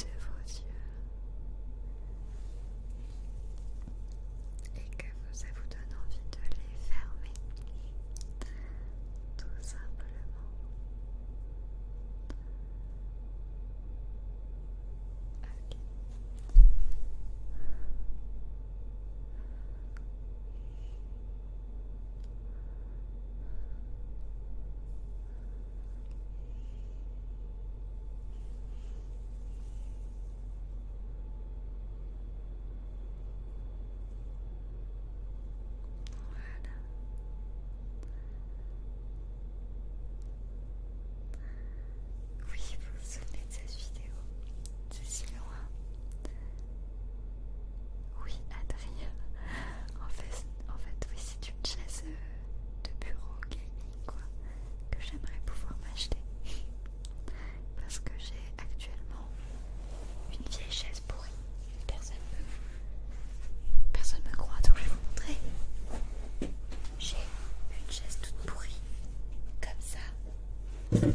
A: de vos yeux et que ça vous donne envie de les fermer tout simplement voilà. Oui, vous vous souvenez de cette vidéo C'est si loin. Oui, Adrien. En fait, en fait oui, c'est une chaise euh, de bureau gaming, quoi, que j'aimerais pouvoir m'acheter. Parce que j'ai actuellement une vieille chaise pourrie. Personne personne me croit, donc je vais vous montrer. J'ai une chaise toute pourrie, comme ça.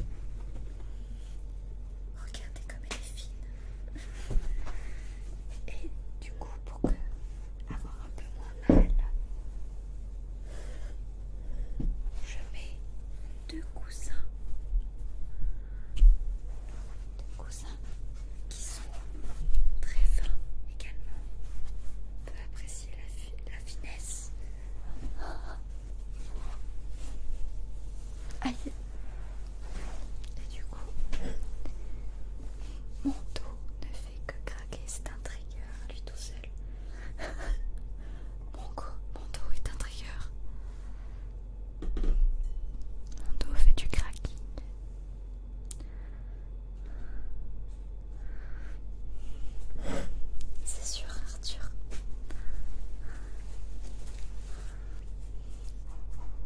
A: Regardez comme elle est fine. Et du coup, pour avoir un peu moins mal, je mets deux coussins. Deux coussins qui sont très fins également. On peut apprécier la finesse Aïe. Et du coup, mon dos ne fait que craquer. C'est un trigger, lui tout seul. mon, mon dos est un trigger. Mon dos fait du cracking. C'est sûr. Arthur.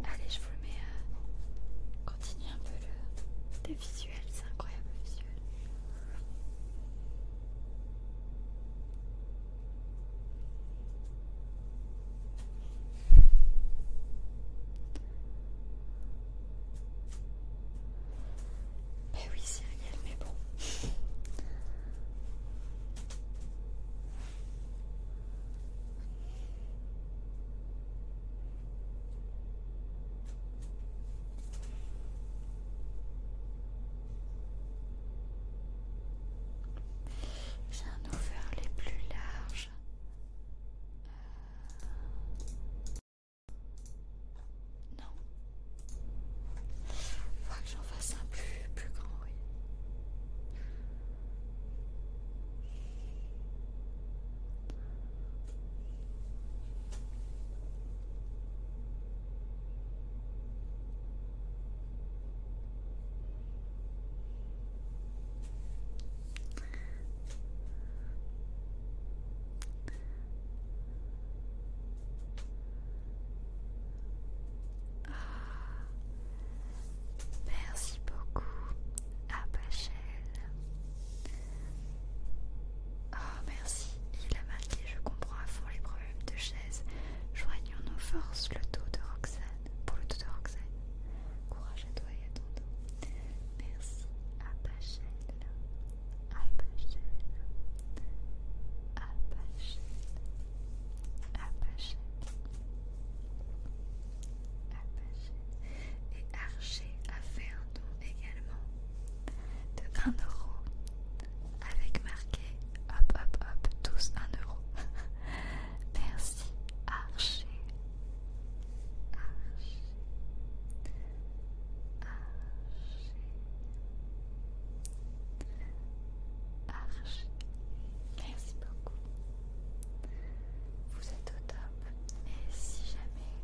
A: Allez, je vous mets. à euh, continue un peu le, visuel, c'est incroyable le visuel. Eh oui, réel, mais bon.
B: J'ai un faire les plus larges. Euh, non, faut que j'en fasse un plus, plus grand, oui.
A: Ah. merci beaucoup, Abachel. Oh, ah, merci, il a marqué, je comprends à fond les problèmes de chaise. Joignons nos forces le dos de Roxane. Pour le dos de Roxane. Courage à toi et à ton dos. Merci, Abachel. Abachel. Abachel apache, apache. Et Archer a fait un don également de euro avec marqué hop hop hop tous 1 euro Merci Archer. Archer. Archer. Archer. Merci beaucoup. Vous êtes au top. Et si jamais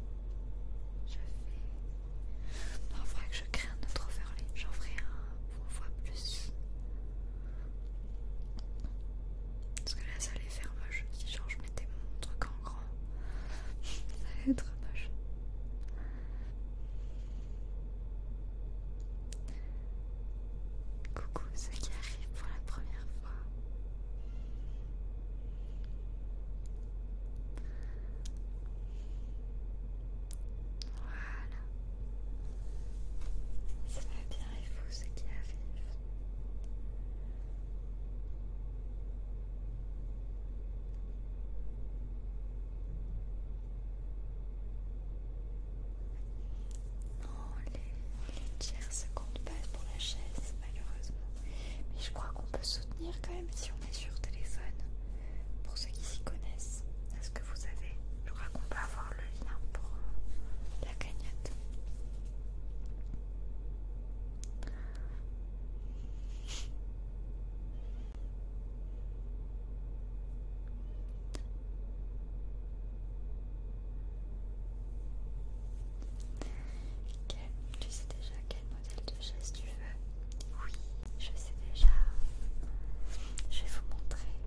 A: je fais... Non, il faudrait que je crée un autre overlay. J'en ferai un pour fois plus. Parce que là, ça allait faire moche. Si genre je mettais mon truc en grand, ça allait être moche. Coucou ceux qui arrive pour la première fois. Voilà. Ça va bien et vous ceux qui arrive. Non, oh, les, tiers se comptent pas pour la chaise, malheureusement. Mais je crois qu'on peut soutenir quand même si on est sur téléphone. Pour ceux qui s'y connaissent, est-ce que vous avez Je crois qu'on peut avoir le lien pour euh, la cagnotte tu sais déjà quel modèle de chaise tu veux Oui, je sais déjà. Je vais vous montrer.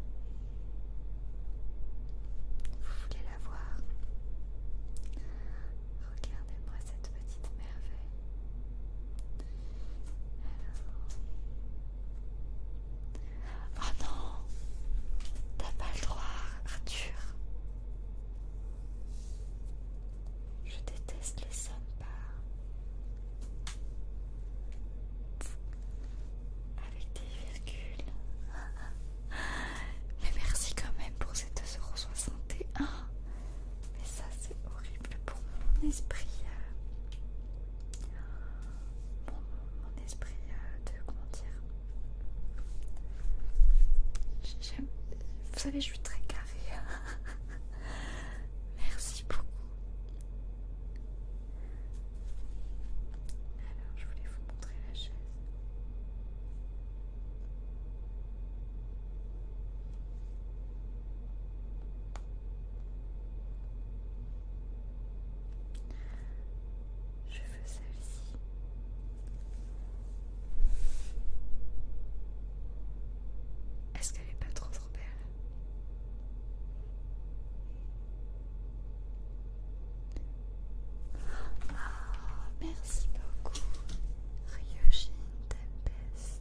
A: Vous voulez la voir Regardez-moi cette petite merveille. Oh non, t'as pas le droit, Arthur. Je déteste les pas. avec des virgules. Mais merci quand même pour ces 2,61€. Mais ça, c'est horrible pour mon esprit. Hein mon, esprit euh, de comment dire j'aime vous savez je suis très carrée merci beaucoup alors je voulais vous montrer la chaise
B: je veux celle-ci. Est-ce qu'elle est pas trop trop belle ah, Merci beaucoup, Riojin best.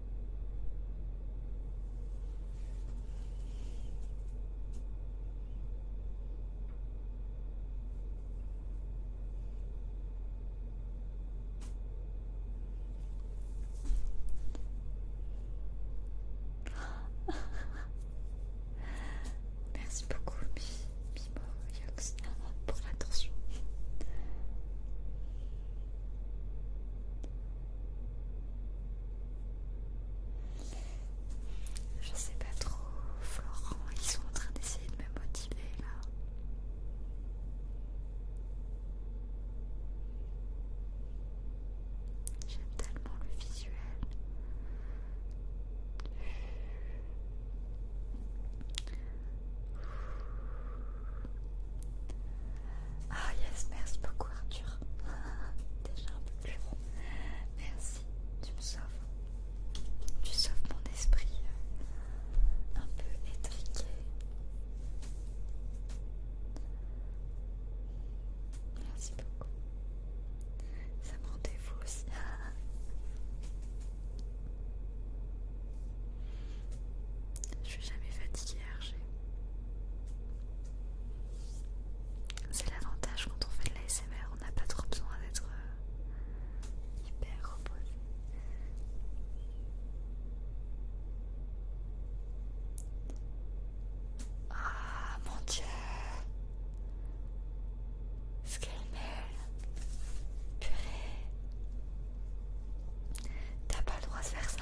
B: Merci beaucoup,
A: Mimo pour l'attention. Je sais pas trop, Florent, ils sont en train d'essayer de me motiver là. J'aime tellement le visuel. Ah yes, merci beaucoup Arthur. Déjà un peu plus bon. Merci, tu me sauves. Tu sauves mon esprit euh, un peu étriqué. Merci beaucoup. Ça me rendez-vous aussi. Je suis jamais fatiguée. C'est l'avantage quand on fait de l'ASMR, on n'a pas trop besoin d'être euh, hyper reposé.
B: Ah mon dieu! ce Purée! T'as pas le droit de faire ça!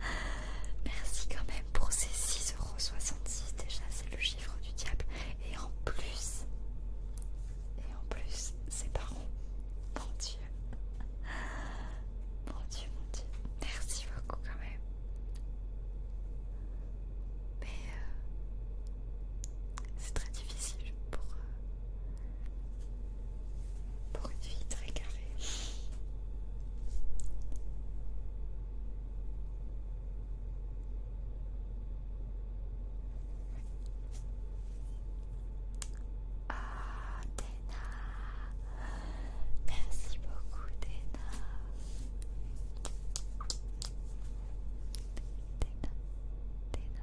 A: Merci quand même pour ces 6,66€. Déjà, c'est le chiffre du diable. Et en plus, et en plus, c'est pas Mon Dieu. Mon Dieu, mon Dieu. Merci beaucoup quand même. Mais euh, c'est très difficile pour, euh, pour une vie très carrée. Ah, Téna Merci beaucoup, Téna Téna, Téna Téna, Téna, Téna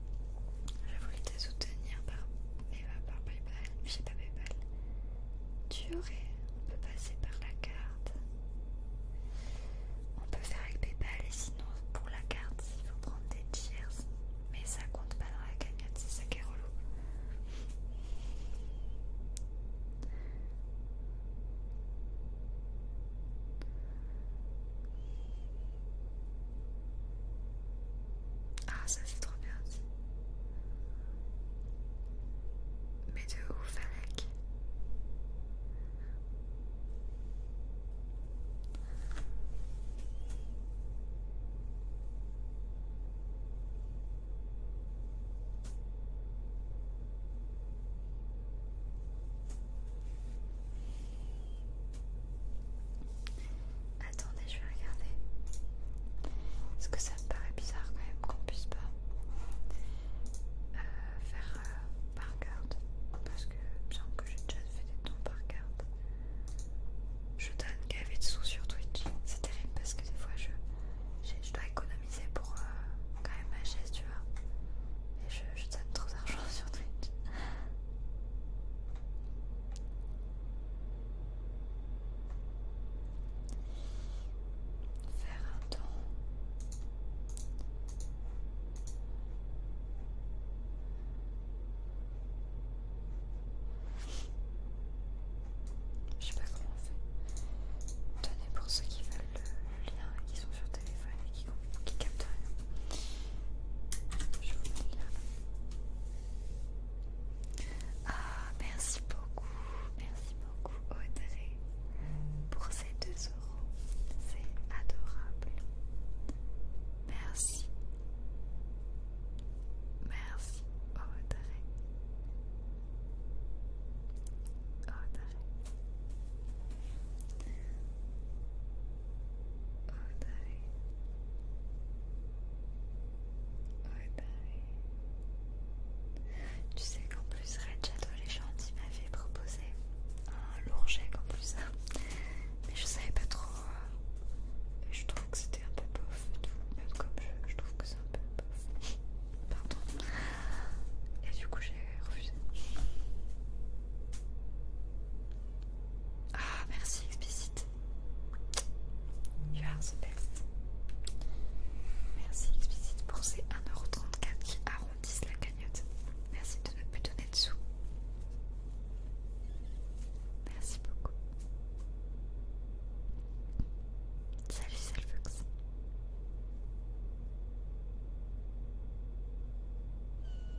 A: Je voulais te soutenir par, par Paypal, j'ai pas Paypal. Tu aurais, on peut passer par la carte. On peut faire avec Paypal et sinon pour la carte, il faut prendre des tiers. Mais ça compte pas dans la cagnotte, c'est ça qui est relou.
B: Ah, ça c'est trop bien dit. Mais de ouf, Alec.
A: Attendez, je vais regarder. Parce que ça me paraît bizarre quand même qu'on puisse pas euh,
B: faire euh, par carte. Parce que il que j'ai déjà fait des dons par
A: carte. Je donne gavé sous sur Twitch. C'est terrible parce que des fois je, dois économiser pour euh, quand même ma chaise, tu vois. Et je donne trop d'argent sur Twitch. Faire un temps.
B: Je sais pas comment on fait. Tenez pour ceux qui veulent le lien et qui sont sur téléphone et qui, qui capte
A: rien. Je vous mets là. Ah, merci beaucoup, merci beaucoup Audrey pour ces 2 euros. C'est adorable. Merci. Merci Audrey. Audrey. Oh
B: Tu sais qu'en plus Red Shadow Legend m'avait proposé un
A: lourd jet en plus mais je savais pas trop et je trouve que c'était un peu bof et tout, même comme je, je trouve que c'est un peu bof pardon et du coup j'ai refusé ah, merci explicite. Merci explicite pour ces 1,34€ qui arrondissent la cagnotte. Merci de ne plus donner de sous. Merci beaucoup. Salut Selfux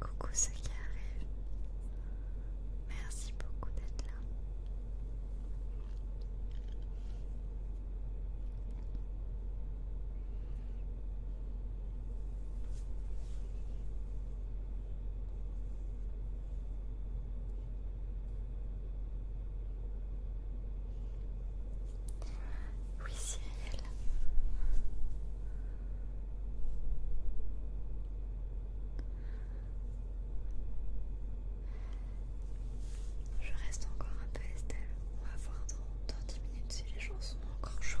B: Coucou ceux qui arrivent. Merci beaucoup d'être là. Oui, Cyril. Je reste encore un peu Estelle. On va voir dans, dans minutes si les gens sont
A: encore chauds.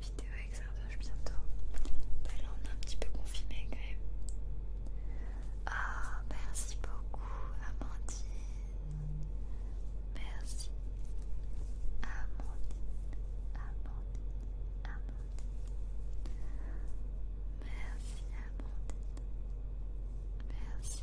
A: Vidéo exergue bientôt. Bah là on est un petit peu confirmé. quand même. Ah, merci beaucoup Amandine. Merci. Amandine. Amandine. Amandine. Merci Amandine. Merci.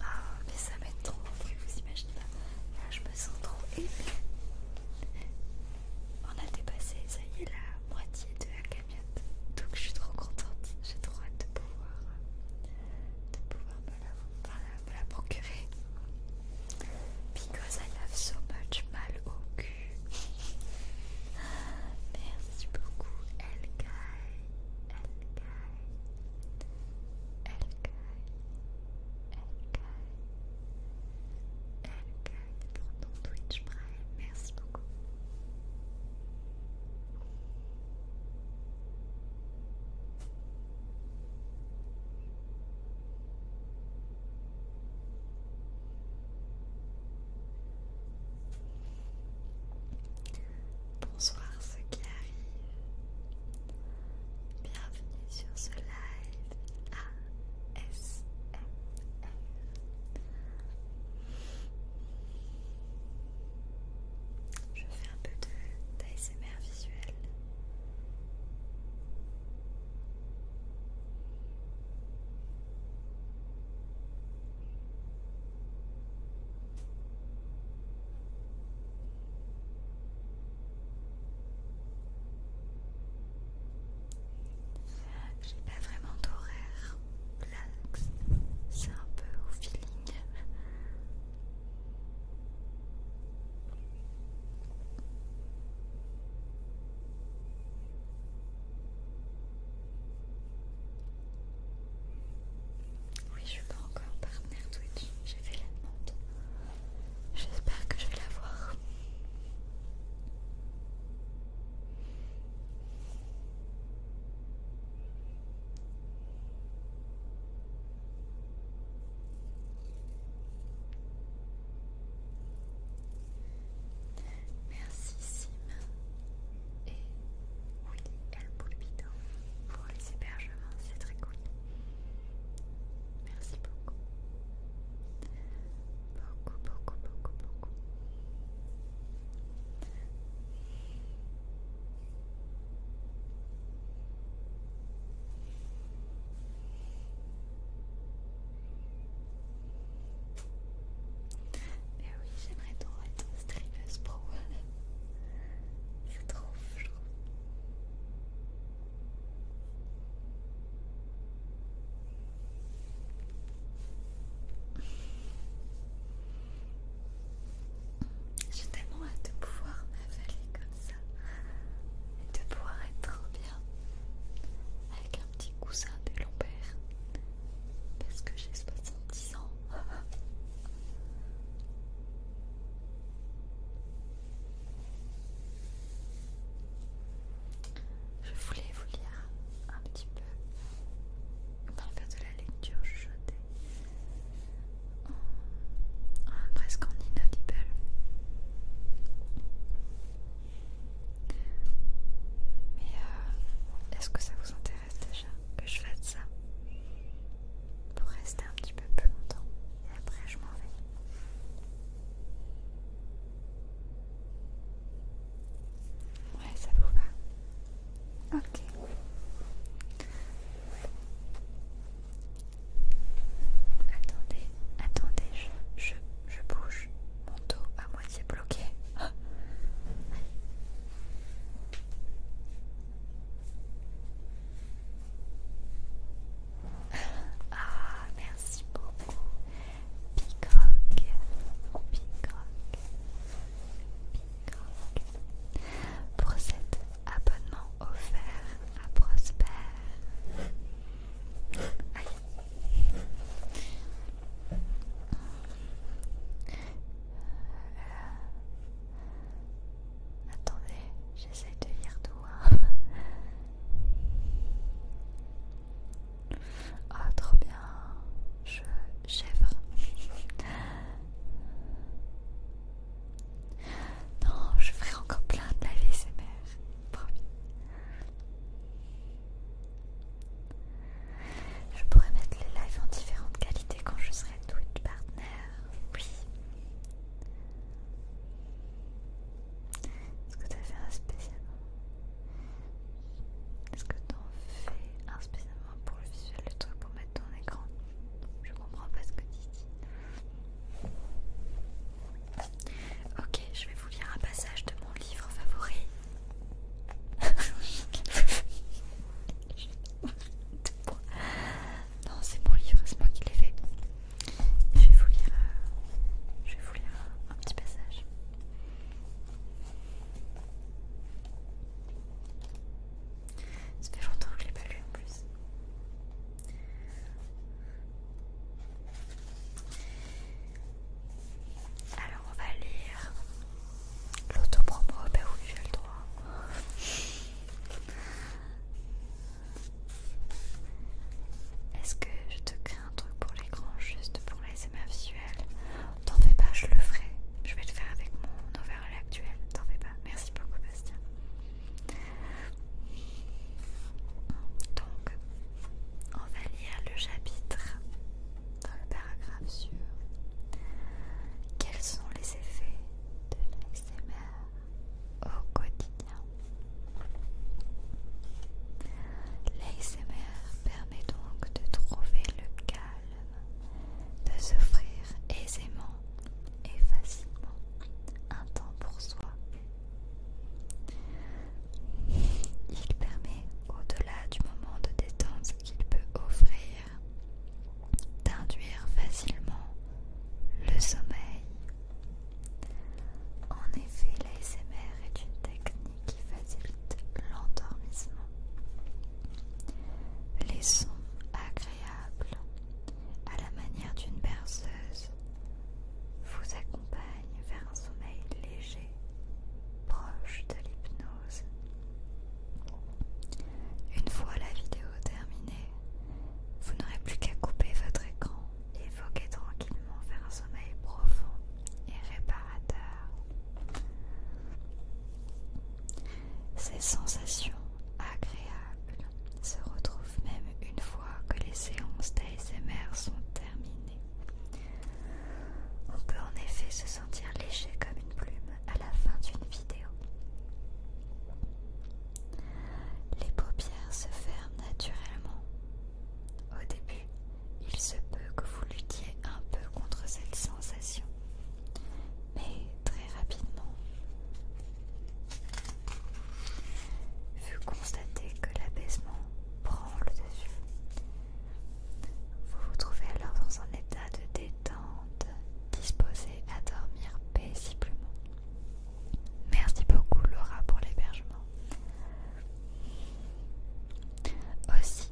A: Ah, mais ça m'aide trop, vous imaginez pas. je me sens trop aimée. On a dépassé, ça y est, la moitié de la camionnette. Donc, je suis trop contente. J'ai trop hâte de pouvoir, euh, la, me la procurer. Because I have so much mal au cul. Merci beaucoup, pour ton Twitch Prime. Merci beaucoup. Bonsoir ceux qui arrivent. Bienvenue sur ce live ASMR. Je fais un peu de d'ASMR visuel. J'ai pas vraiment d'horaire, c'est un peu au feeling. Oui, je suis pas encore partenaire Twitch, j'ai fait la demande. J'espère que je vais la voir. Merci Sim et oui, El Pulpito hein. pour les hébergements, c'est très cool. Merci beaucoup. Beaucoup, beaucoup, beaucoup, beaucoup. Mais eh oui, j'aimerais trop être streameuse pro. C'est trop, je J'ai tellement hâte de pouvoir m'avaler comme ça et de pouvoir être trop bien avec un petit cousin de lombaire parce que j'ai soixante-dix ans. Je voulais vous lire un petit peu dans le faire de la lecture Je En... Oh, presque en inaudible. Mais euh, est-ce que ça vous intéresse déjà que je fasse ça pour rester un petit peu plus longtemps et après je m'en vais Ouais, ça vous va Ok. Attendez, attendez, je, bouge mon dos. Ah moitié
B: bloqué. Ah, merci beaucoup. Picroc Picroc Picroc Pour cet abonnement offert
A: à Prosper. Attendez, j'essaie de lire tout. Hein. Ah, trop bien. Je chèvre. Non, je ferai encore plein de la vie, promis. Je pourrais mettre les lives en différentes qualités quand je serai Twitch partner. Oui. Est-ce que tu as fait un spécialement Est-ce que tu en fais un spécialement pour le visuel, le truc pour mettre ton écran Je comprends pas ce que tu dis. Ok, je vais vous lire un passage de mon livre favori non, c'est mon livre, c'est moi qui l'ai fait. Je vais vous lire, euh, je vais vous lire un petit passage. Ça fait longtemps que je l'ai pas lu en plus. Alors on va lire l'autopromo, ben oui j'ai le droit. Est-ce que je te crée un truc pour l'écran juste pour MA visuel T'en fais pas, je le ferai. Je vais le faire avec mon overlay actuel. T'en fais pas. Merci beaucoup Bastien. Donc, on va lire le chapitre dans le paragraphe sur quels sont les effets de l'ASMR au quotidien. L'ASMR permet donc de trouver le calme, de s'offrir aisément et facilement un temps pour soi. Il permet, au-delà du moment de détente qu'il peut offrir, d'induire facilement
B: le sommeil. En effet, l'ASMR est une
A: technique qui facilite l'endormissement. Les sons agréables, à la manière d'une berceuse, vous accompagnent vers un sommeil léger, proche de l'hypnose. Une fois la vidéo terminée, vous n'aurez plus qu'à couper votre écran et voguer tranquillement vers un sommeil profond et réparateur. Ces sensations agréables se retrouvent même une fois que les séances d'ASMR sont terminées. On peut en effet se sentir léger comme une plume à la fin d'une vidéo. Les paupières se ferment naturellement. Au début, il se peut que vous luttiez un peu contre cette sensation, mais très rapidement, vous constatez que l'abaissement prend le dessus vous vous trouvez alors dans un état de détente, disposé à dormir paisiblement. Merci beaucoup Laura pour l'hébergement. Aussi,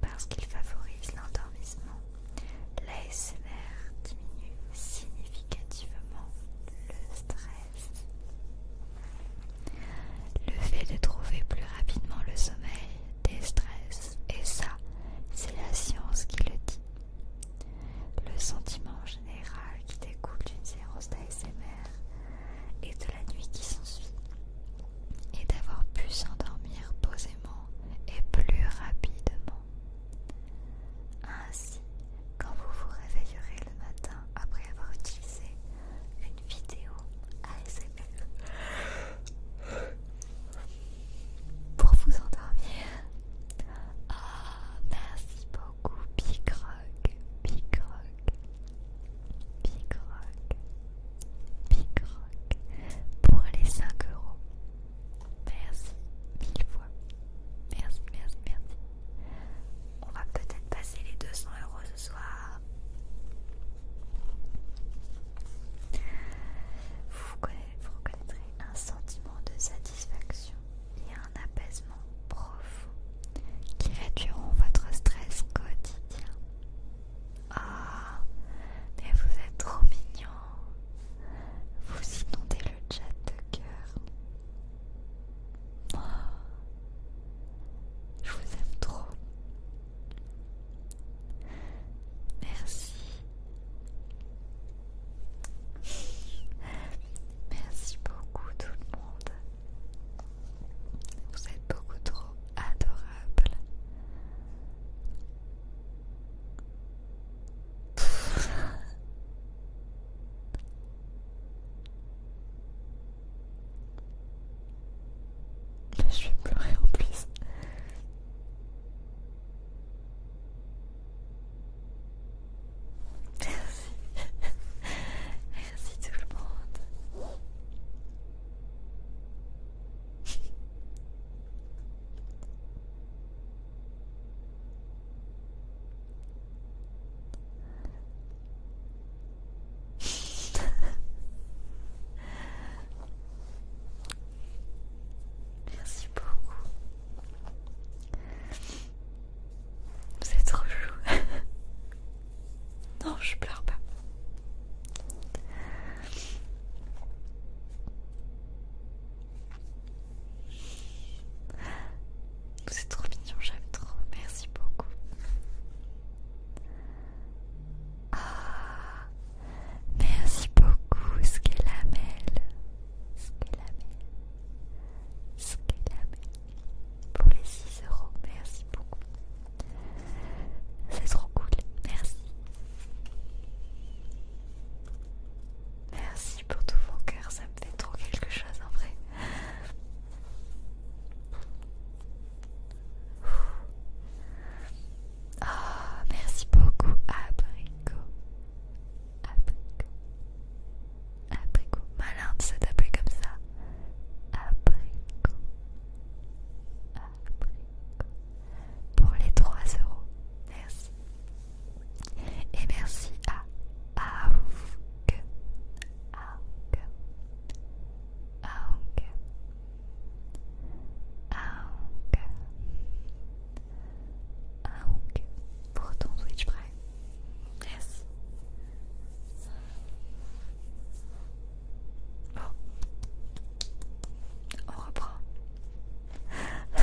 A: parce qu'il favorise l'endormissement, l'ASMR diminue significativement le stress. Le fait de trouver plus rapidement le sommeil déstresse, et ça, c'est la science qui le dit. Le sentiment général qui découle d'une séance d'ASMR et de la nuit qui s'ensuit est d'avoir pu s'endormir posément et plus rapidement. Ainsi, quand vous vous réveillerez le matin après avoir utilisé une vidéo ASMR pour vous endormir. Ah merci beaucoup, Big Rock, Big Rock, Big Rock, Big Rock pour les 5 euros. Merci mille fois. Merci, merci, merci. On va peut-être passer les 200 euros ce soir. Vous, reconnaîtrez un sentiment de satisfaction et un apaisement profond qui réduiront votre stress quotidien. Ah, mais vous êtes trop mignon. Vous inondez le chat de cœur. Oh, je vous aime trop. Merci. Merci beaucoup tout le monde. Vous êtes beaucoup trop adorables. je vais pleurer en plus. Merci. Merci tout le monde. Merci beaucoup. Vous êtes trop chou. non, je pleure pas. Vous êtes trop mignon, j'aime trop. Merci beaucoup. Ah, merci beaucoup, Skelamel. Skelamel. Skelamel. Pour les 6 euros, merci beaucoup. C'est trop cool, merci. Merci pour tout mon cœur, ça me fait trop quelque chose en vrai. Oh, merci beaucoup, abricot. Abricot. Abricot. Malin de s'appeler comme ça. Abricot. Abricot. Pour les 3 euros. Merci. Et merci à Aouk. Aouk. Aouk ah ok. pour ton switch prêt on reprend.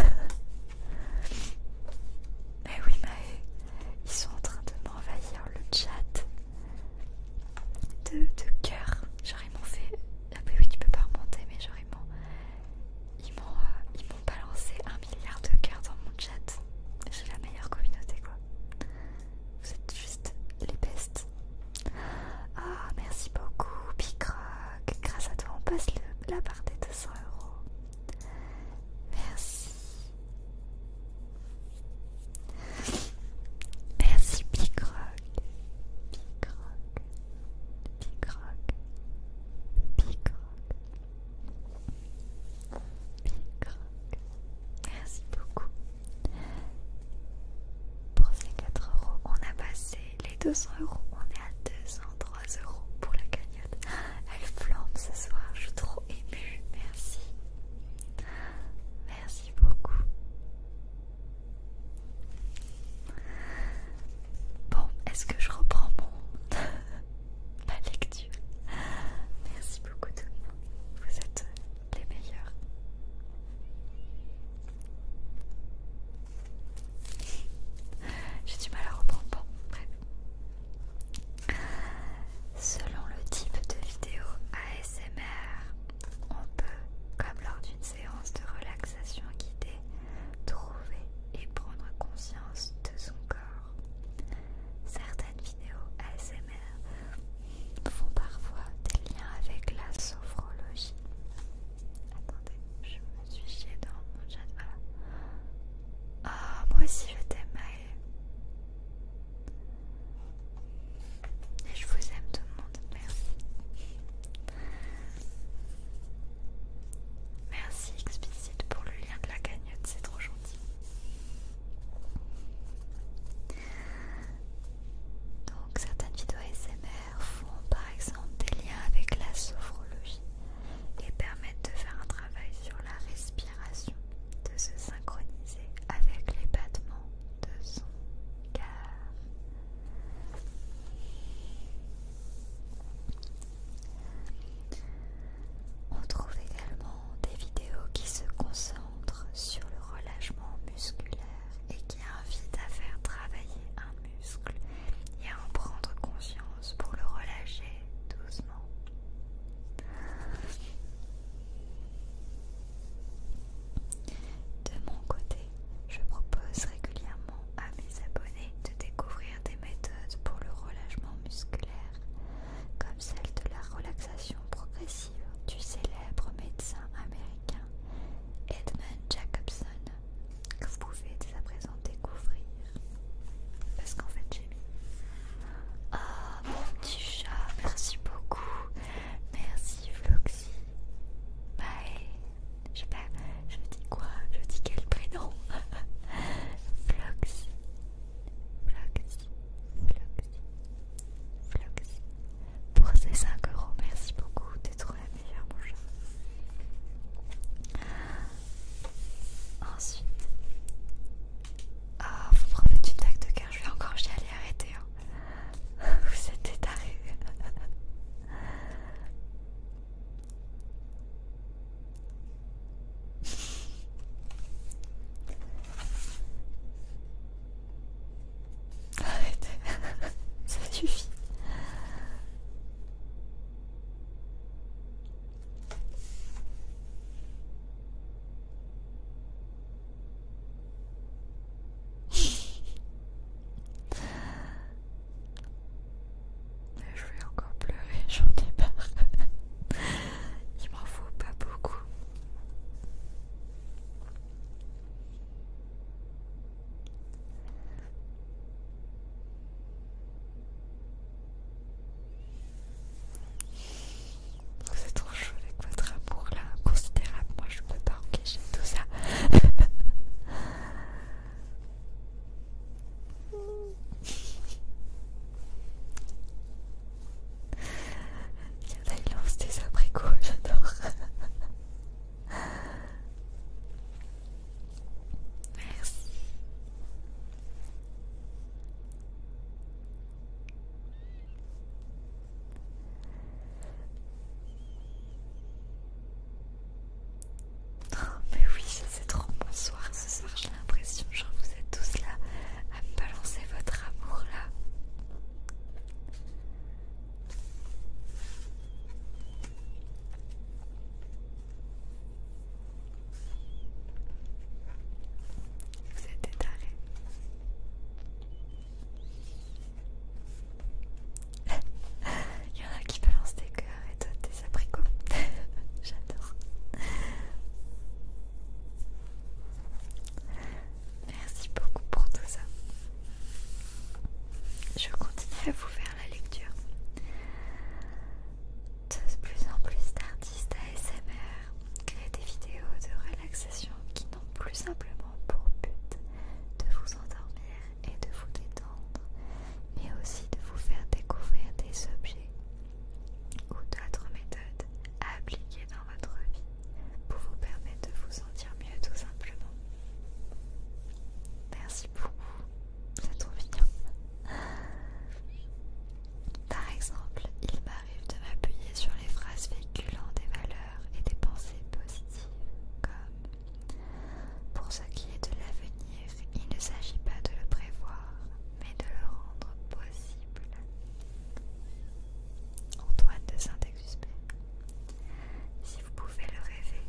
A: Mais oui, mais ils sont en train de m'envahir le chat de, de Genre ils fait... Ah oui qui tu peux pas remonter mais genre ils m'ont... Euh, ils m'ont balancé un milliard de cœurs dans mon chat. J'ai la meilleure communauté quoi. Vous êtes juste les best Ah merci beaucoup Rock. Grâce à toi on passe la barre des 200 euros. Merci. Merci Big Rock, Big Rock, Big Rock, Big Rock, Big Rock. Merci beaucoup. Pour ces 4 euros, on a passé les 200 euros. On est à 203 euros pour la cagnotte. Elle flambe ce soir, je suis trop émue. Merci. Merci beaucoup. Bon, est-ce que je reprends mon... ma lecture Merci beaucoup tout le monde, vous êtes les meilleurs. J'ai du mal à reprendre, bon, bref. Selon le type de vidéo ASMR, on peut, comme lors d'une séance de relaxation guidée, trouver et prendre conscience de son corps. Certaines vidéos ASMR font parfois des liens avec la sophrologie. Attendez, je me suis chiée dans mon chat, voilà. Ah, moi aussi je t'aime, je vous aime tout le monde, merci. Merci explicite pour le lien de la cagnotte, c'est trop gentil. Donc certaines vidéos SMR font par exemple des liens avec la sophrologie et permettent de faire un travail sur la respiration, de se synchroniser avec les battements de son On trouve également des vidéos qui se concentrent sur le relâchement musculaire et qui invitent à faire travailler un muscle et à en prendre conscience pour le relâcher doucement. De mon côté, je propose régulièrement à mes abonnés de découvrir des méthodes pour le relâchement musculaire, comme celle de la relaxation progressive du célèbre médecin américain Edmund Jacobson, que vous pouvez dès à présent découvrir. Parce qu'en fait, j'ai Ah, mon petit chat, merci beaucoup. Merci Floxy Bye. Je sais pas, je dis quoi Je dis quel prénom Flux. Flux. Flux. Flux. Pour ces 5 euros, merci beaucoup. T'es trop la meilleure, mon chat. Ensuite. Ah, oh, vous me refaire une tac de cœur. Je vais encore j'y aller arrêter. Hein. Vous êtes arrivé. Arrêtez, ça suffit. Je vais encore pleurer, j'en ai marre. Il m'en faut pas beaucoup. Oh, c'est trop votre amour là, considérable. Moi je peux pas encaisser tout ça. Il y des abricots, j'adore. Merci. Oh, mais oui, c'est trop bonsoir ce soir, j'ai l'impression, que vous êtes tous là à me balancer votre amour là. Vous êtes tarés il y en a qui balancent des cœurs et d'autres des abricots. J'adore. Merci beaucoup pour tout ça. Je continue à vous faire la lecture. De plus en plus d'artistes ASMR créent des vidéos de relaxation qui plus simplement pour but de vous endormir et de vous détendre, mais aussi de vous faire découvrir des objets ou d'autres méthodes appliquées dans votre vie pour vous permettre de vous sentir mieux tout simplement. Merci beaucoup, c'est trop mignon. Par exemple, il m'arrive de m'appuyer sur les phrases véhiculant des valeurs et des pensées positives comme pour ce qui est de l'avenir, il ne s'agit pas de le prévoir, mais de le rendre possible. Antoine de Saint-Exupéry. Si vous pouvez le rêver,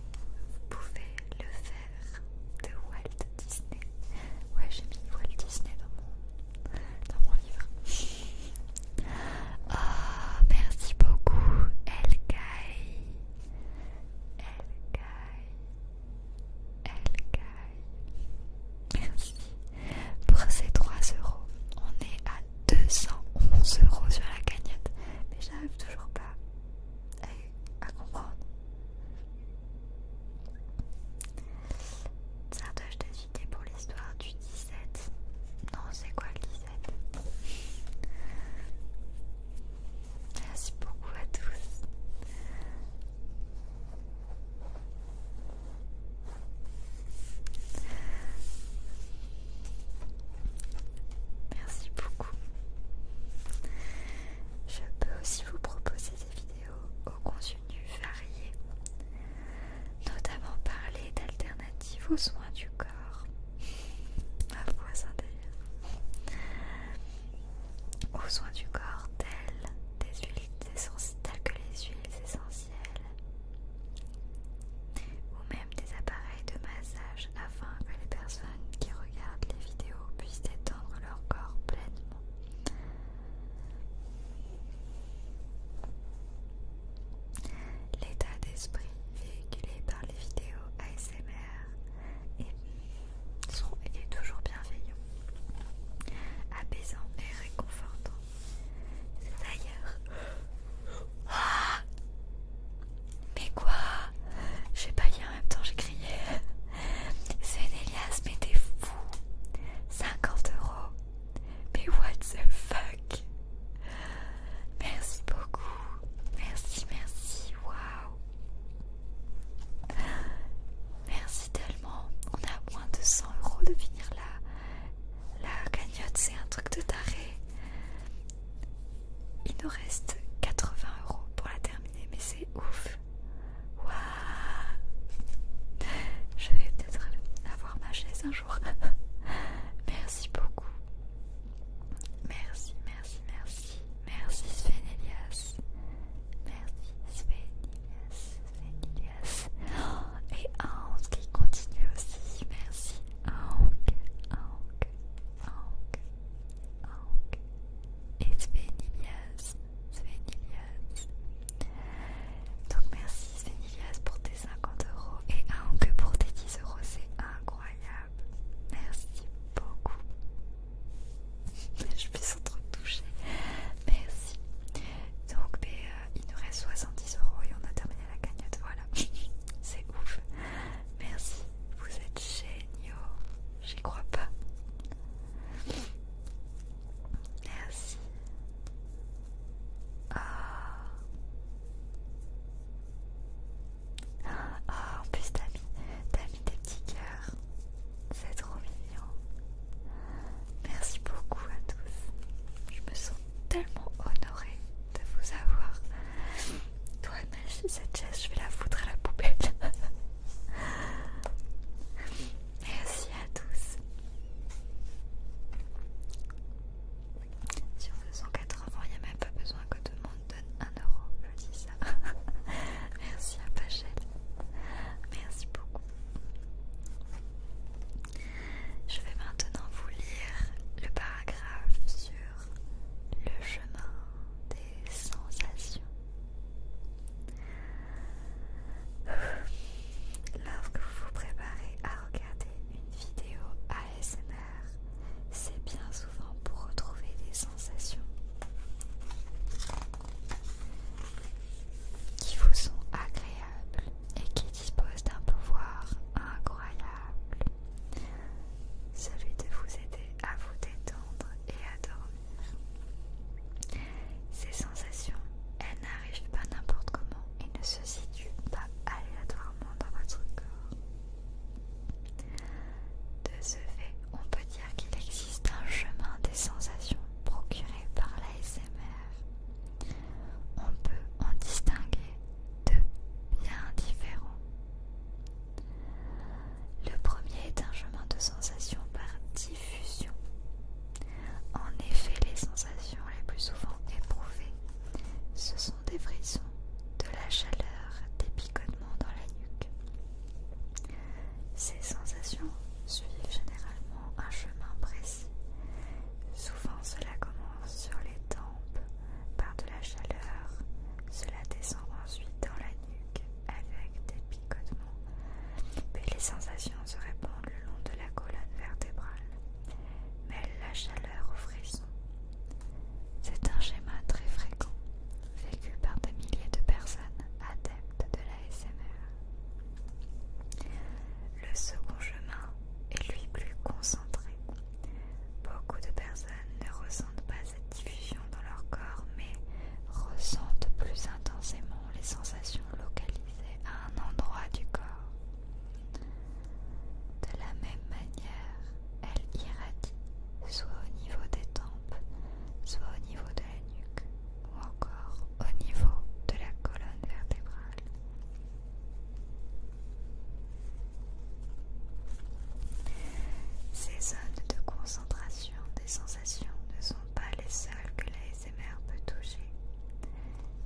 A: vous pouvez le faire. De Walt Disney. Ouais, j'ai mis Walt Disney dans mon, dans mon livre. Oh, merci beaucoup, Elkaï, Elkai. Elkai. Merci. Pour ces 3 euros, on est à 211 euros sur la cagnotte. Mais j'arrive toujours pas à, comprendre. Sardoche, t'as cité pour l'histoire du 17. Non, c'est quoi le 17 Merci beaucoup à tous. Merci beaucoup. Je peux aussi vous proposer des vidéos au contenu varié, notamment parler d'alternatives aux soins du corps au Ma Aux soins du corps, tels, des huiles que les huiles essentielles ou même des appareils de massage afin que les personnes qui regardent les vidéos puissent détendre leur corps pleinement. L'état d'esprit véhiculé par les vidéos ASMR est, toujours bienveillant, apaisant et réconfortant. C'est d'ailleurs. Ah mais quoi J'ai sais pas rien en même temps, j'ai crié. Elias, mais t'es fou 50 euros Mais what the fuck Merci beaucoup. Merci, merci. Waouh. Merci tellement. On a moins de 100 euros de finir là la cagnotte. C'est un truc de taré. Il nous reste 80 euros pour la terminer, mais c'est ouf. Waouh. Je vais peut-être avoir ma chaise un jour. Merci beaucoup. Merci, merci, merci. Merci Svenilias, Merci Svenilias, Svenilias, oh, et Aunk qui continue aussi. Merci
B: Aunk, Aunk, Aunk, Aunk. Et Svenilias, Svenilias, Donc merci Svenilias pour tes 50 euros et que pour tes 10
A: euros. C'est incroyable incroyable. Merci beaucoup. Je suis trop touchée. Merci. Donc, ben, euh, il nous reste 70 euros et on a terminé la cagnotte. Voilà, c'est ouf. Merci, vous êtes géniaux. J'y crois pas. Merci. Ah. Oh en plus, t'as mis, mis des petits cœurs. C'est trop mignon. Merci beaucoup à tous. Je me sens tellement honorée de vous avoir. Toi, mais cette chaise, je vais la foutre à la poubelle. Merci à tous. Sur 280, il n'y a même pas besoin que tout le monde donne 1 euro. Je dis ça. Merci à Pachel. Merci beaucoup. Je vais maintenant vous lire le paragraphe sur le chemin des sensations. Lorsque vous vous préparez à regarder une vidéo ASMR, c'est bien souvent pour retrouver des sensations qui vous sont agréables et qui disposent d'un pouvoir incroyable, celui de vous aider à vous détendre et à dormir. Ces sensations, elles n'arrivent pas n'importe comment et ne se situent pas aléatoirement dans votre corps. De ce fait, on peut dire qu'il existe un chemin des sensations procurées par l'ASMR. On peut en distinguer deux bien différents. Le premier est un chemin de sensations par diffusion. En effet, les sensations les plus souvent éprouvées, sont des frissons, de la chaleur, des picotements dans la nuque. Ces sensations suivent généralement un chemin précis. Souvent cela commence sur les tempes par de la chaleur, cela descend ensuite dans la nuque avec des picotements, puis les sensations se répandent le long de la colonne vertébrale, mais la chaleur aux frissons c'est un schéma très fréquent, vécu par des milliers de personnes adeptes de la SMR. Le second chemin est lui plus concentré. Beaucoup de personnes ne ressentent pas cette diffusion dans leur corps, mais ressentent plus intensément les sensations localisées à un endroit du corps. De la même manière, elle irradie soit au niveau des tempes, soit au niveau de la nuque ou encore au niveau de la colonne vertébrale. Ces zones de concentration des sensations ne sont pas les seules que l'ASMR peut toucher.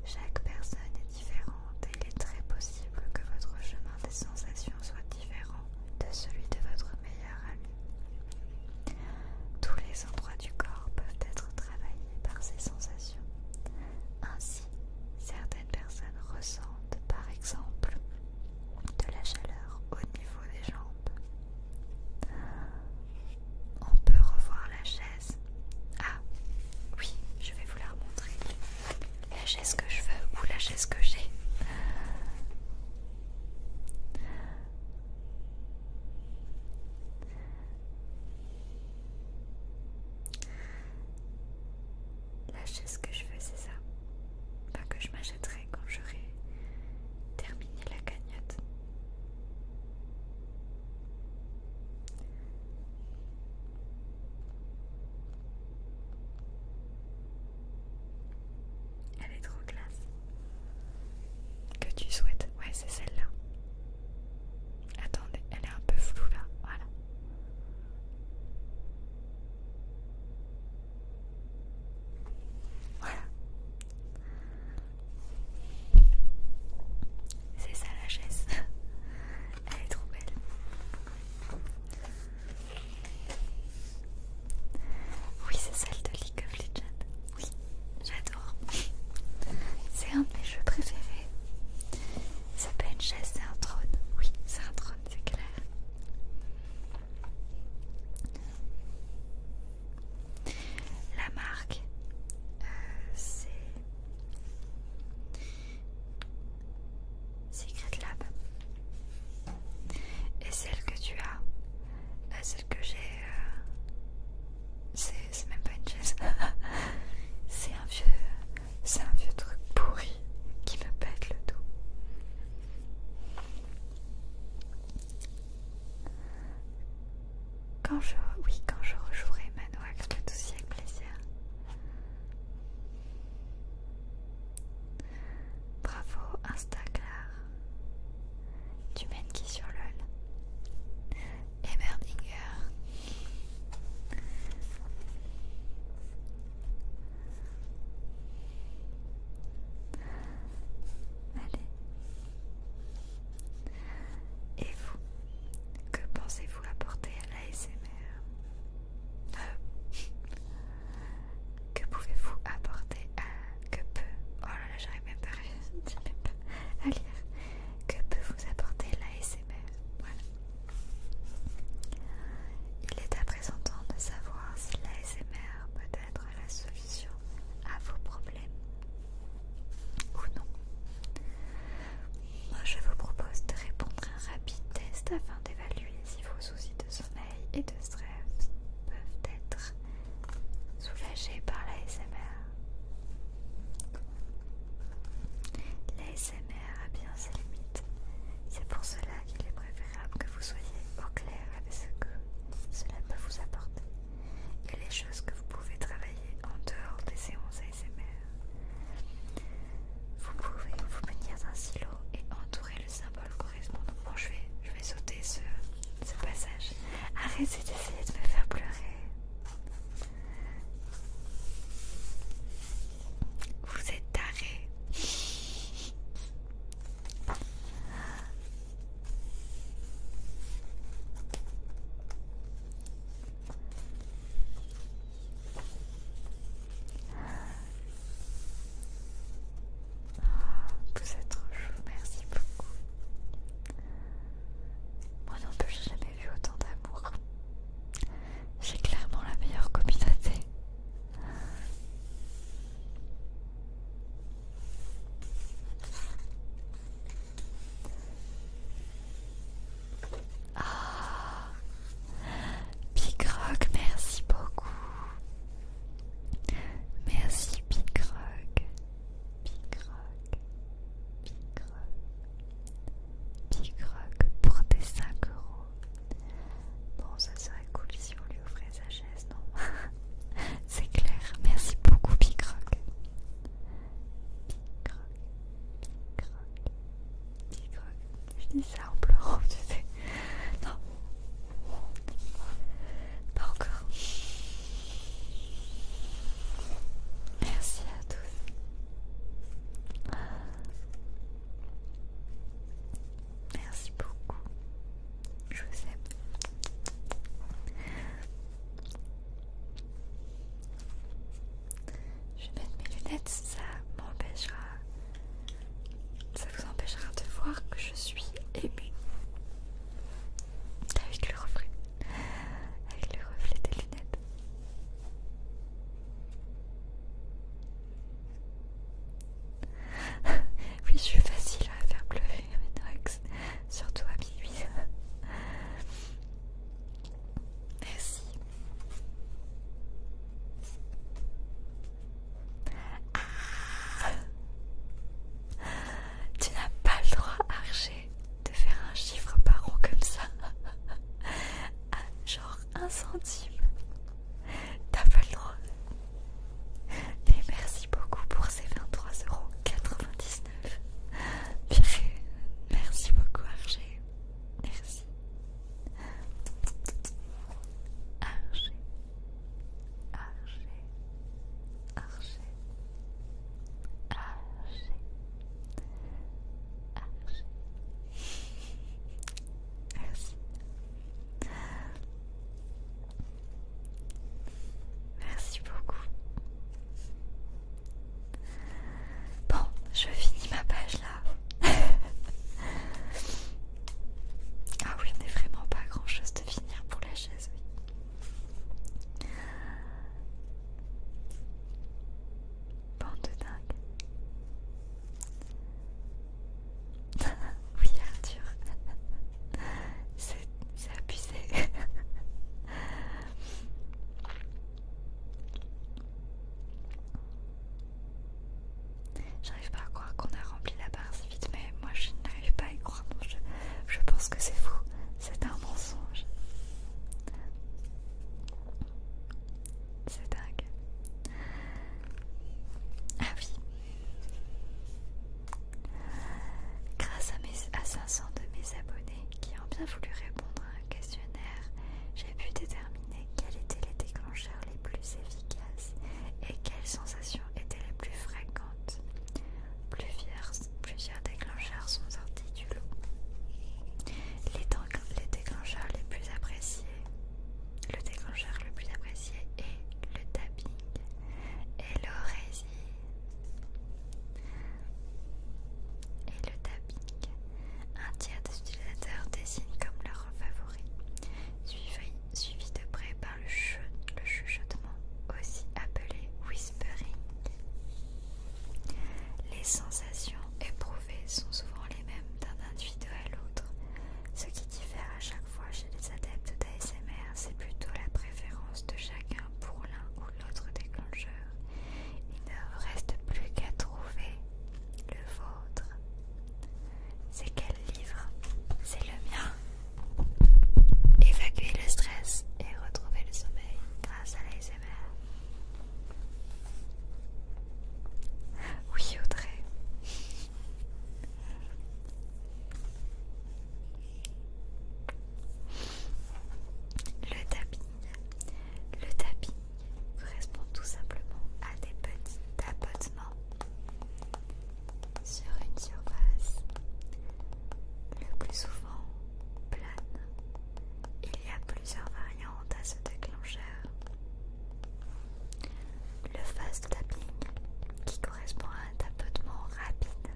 A: Chaque personne différente et il est très possible que votre chemin des sensations soit différent de celui de votre meilleur ami. Tous les endroits du corps peuvent être travaillés par ces sensations. Ainsi, certaines personnes ressentent par exemple de la chaleur au niveau des jambes. On peut revoir la chaise. Ah oui, je vais vous la remontrer la chaise que je veux ou la chaise que j'ai. La chaise que je veux, c'est ça. Pas que je m'achèterai quand j'aurai terminé la cagnotte.
B: Elle est trop classe. Que tu souhaites. Ouais, c'est celle-là.
A: Attendez, elle est un peu floue là. Voilà. Voilà. C'est ça la chaise. Elle est trop belle. Oui, c'est celle de League of Legends. Oui, j'adore. C'est un de mes jeux préférés. C'est pas une chaise, c'est un trône. Oui, c'est un trône, c'est clair. La marque, euh, c'est Secret Lab. Et celle que tu as, euh, celle que j'ai, euh, c'est même pas une chaise, c'est un vieux, c'est un vieux truc pourri qui me pète le dos. Quand je, oui, quand je rejouerai Manoa avec tout aussi avec plaisir. Bravo Instaclar. Tu mènes qui sur LOL Et Merdinger. Allez. Et vous, que pensez-vous apporter à l'ASMR que pouvez-vous apporter à... Que peut... Oh là là, j'arrive même pas à lire. Que peut vous apporter l'ASMR Voilà. Il est à présent temps de savoir si l'ASMR peut être la solution à vos problèmes ou non. Moi, je vous propose de répondre à un rapide test afin d'évaluer si vos soucis de sommeil et de stress peuvent être soulagés par l'ASMR. L'ASMR a bien ses limites. C'est pour cela qu'il est préférable que vous soyez au clair avec ce que cela peut vous apporter et les choses que vous pouvez travailler en dehors des séances ASMR. Vous pouvez vous dans un silo et entourer le symbole correspondant. Bon, je vais, sauter ce, ce passage. Arrêtez d'essayer de me faire pleurer. Vous êtes taré. Vous êtes trop chou, merci beaucoup. Moi non plus, j'ai jamais vu autant d'amour. J'ai clairement la meilleure communauté. Ah, Big merci beaucoup. Merci Big Rock. Big Rock. pour tes 5 euros. Bon, ça serait cool si on lui offrait sa chaise, non C'est clair. Merci beaucoup Big Picroc Big Rock. Je dis ça en pleurant, tu sais. Non.
B: Pas encore. Merci à tous.
A: Merci beaucoup. Je vous aime. Je vais mettre mes lunettes, ça m'empêchera ça vous empêchera de voir que je suis
B: émue. Avec le reflet. Avec le reflet des lunettes.
A: oui, je suis facile à faire pleurer, Surtout à minuit. Merci. tu n'as pas le droit, Archer, de faire un chiffre par an comme ça. Ah, genre un centime. T'as pas le droit. Et merci beaucoup pour ces 23,99€. Merci beaucoup, Archer. Merci. Archer, archer, archer, archer, archer. Merci. Merci beaucoup. Bon, je finis ma page là. Ah oui, on n'est vraiment pas grand chose de finir pour la chaise, oui. Bande de dingue. oui, Arthur. C'est abusé. J'arrive pas à croire qu'on a rempli la barre si vite, mais moi je n'arrive pas à y croire. je, pense que c'est fou, c'est un mensonge. C'est dingue. Ah oui. Grâce à, mes, à 500 de mes abonnés qui ont bien voulu répondre à un questionnaire, j'ai pu déterminer quels étaient les déclencheurs les plus efficaces et quelles sensations étaient les plus fréquentes.
B: Plusieurs,
A: plusieurs déclencheurs sont sortis du lot. Les, déclencheurs les plus appréciés, le déclencheur le plus apprécié est le tapping et l'orésie. Et le tapping. Un tiers des utilisateurs dessine comme leur favori, Suivez suivi de près par le, chuchotement, aussi appelé whispering. Les sensations éprouvées sont souvent les mêmes d'un individu à l'autre. Ce qui diffère à chaque fois chez les adeptes d'ASMR, c'est plutôt la préférence de chacun pour l'un ou l'autre déclencheur. Il ne reste plus qu'à trouver le vôtre.
B: C'est quel livre C'est le mien. Évacuer le stress et retrouver le sommeil grâce à l'ASMR.
A: Oui, Audrey. Le tapis. Le tapis correspond tout simplement à des petits tapotements sur une surface le plus souvent plane. Il y a plusieurs variantes à ce déclencheur. Le fast tapping qui correspond à un tapotement rapide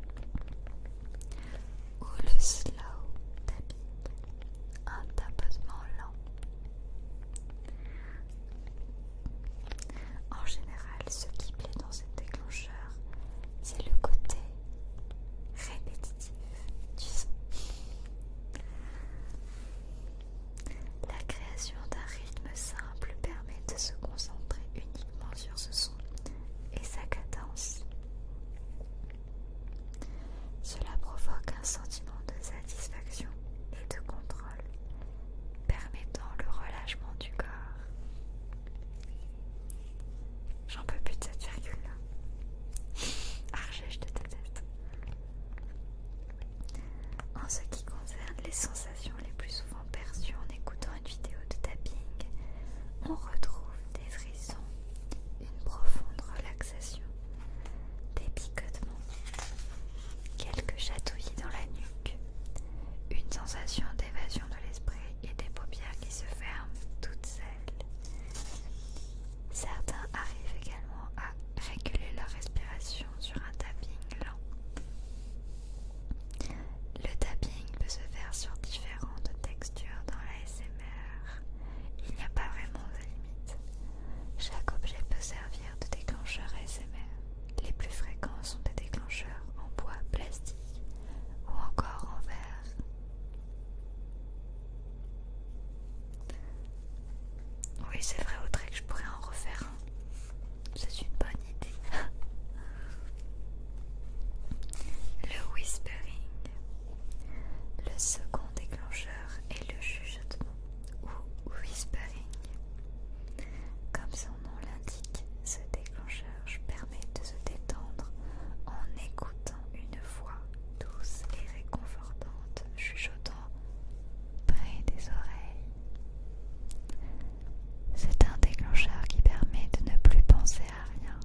A: ou le slow tapping, un tapotement lent. En général, ce qui plaît dans ce déclencheur, c'est le côté répétitif du son. La création d'un rythme simple permet de se concentrer uniquement sur ce son et sa cadence. Cela provoque un sentiment de satisfaction et de contrôle permettant le relâchement du corps. J'en peux plus de cette virgule là. Archèche je ta tête. En ce qui concerne les sensations les plus souvent perçues en écoutant une vidéo de tapping, on retrouve des frissons, une profonde relaxation, des picotements, quelques chatouillis dans la nuque, une sensation d'évasion de l'esprit et des paupières qui se ferment toutes seules. Certains arrivent également à réguler leur respiration sur un tapping lent. Le tapping peut se faire sur différentes textures dans la SMR. Il n'y a pas vraiment de limite. Chaque objet peut servir de déclencheur ASMR. Les plus fréquents sont des déclencheurs en bois, plastique ou encore en verre. Oui, c'est vrai, Audrey, que je pourrais en refaire un. C'est une bonne idée. le whispering. Le second déclencheur est le chuchotement ou whispering. Comme son nom l'indique, ce déclencheur permet de se détendre en écoutant une voix douce et réconfortante chuchotant près des oreilles. C'est un déclencheur qui permet de ne plus penser à rien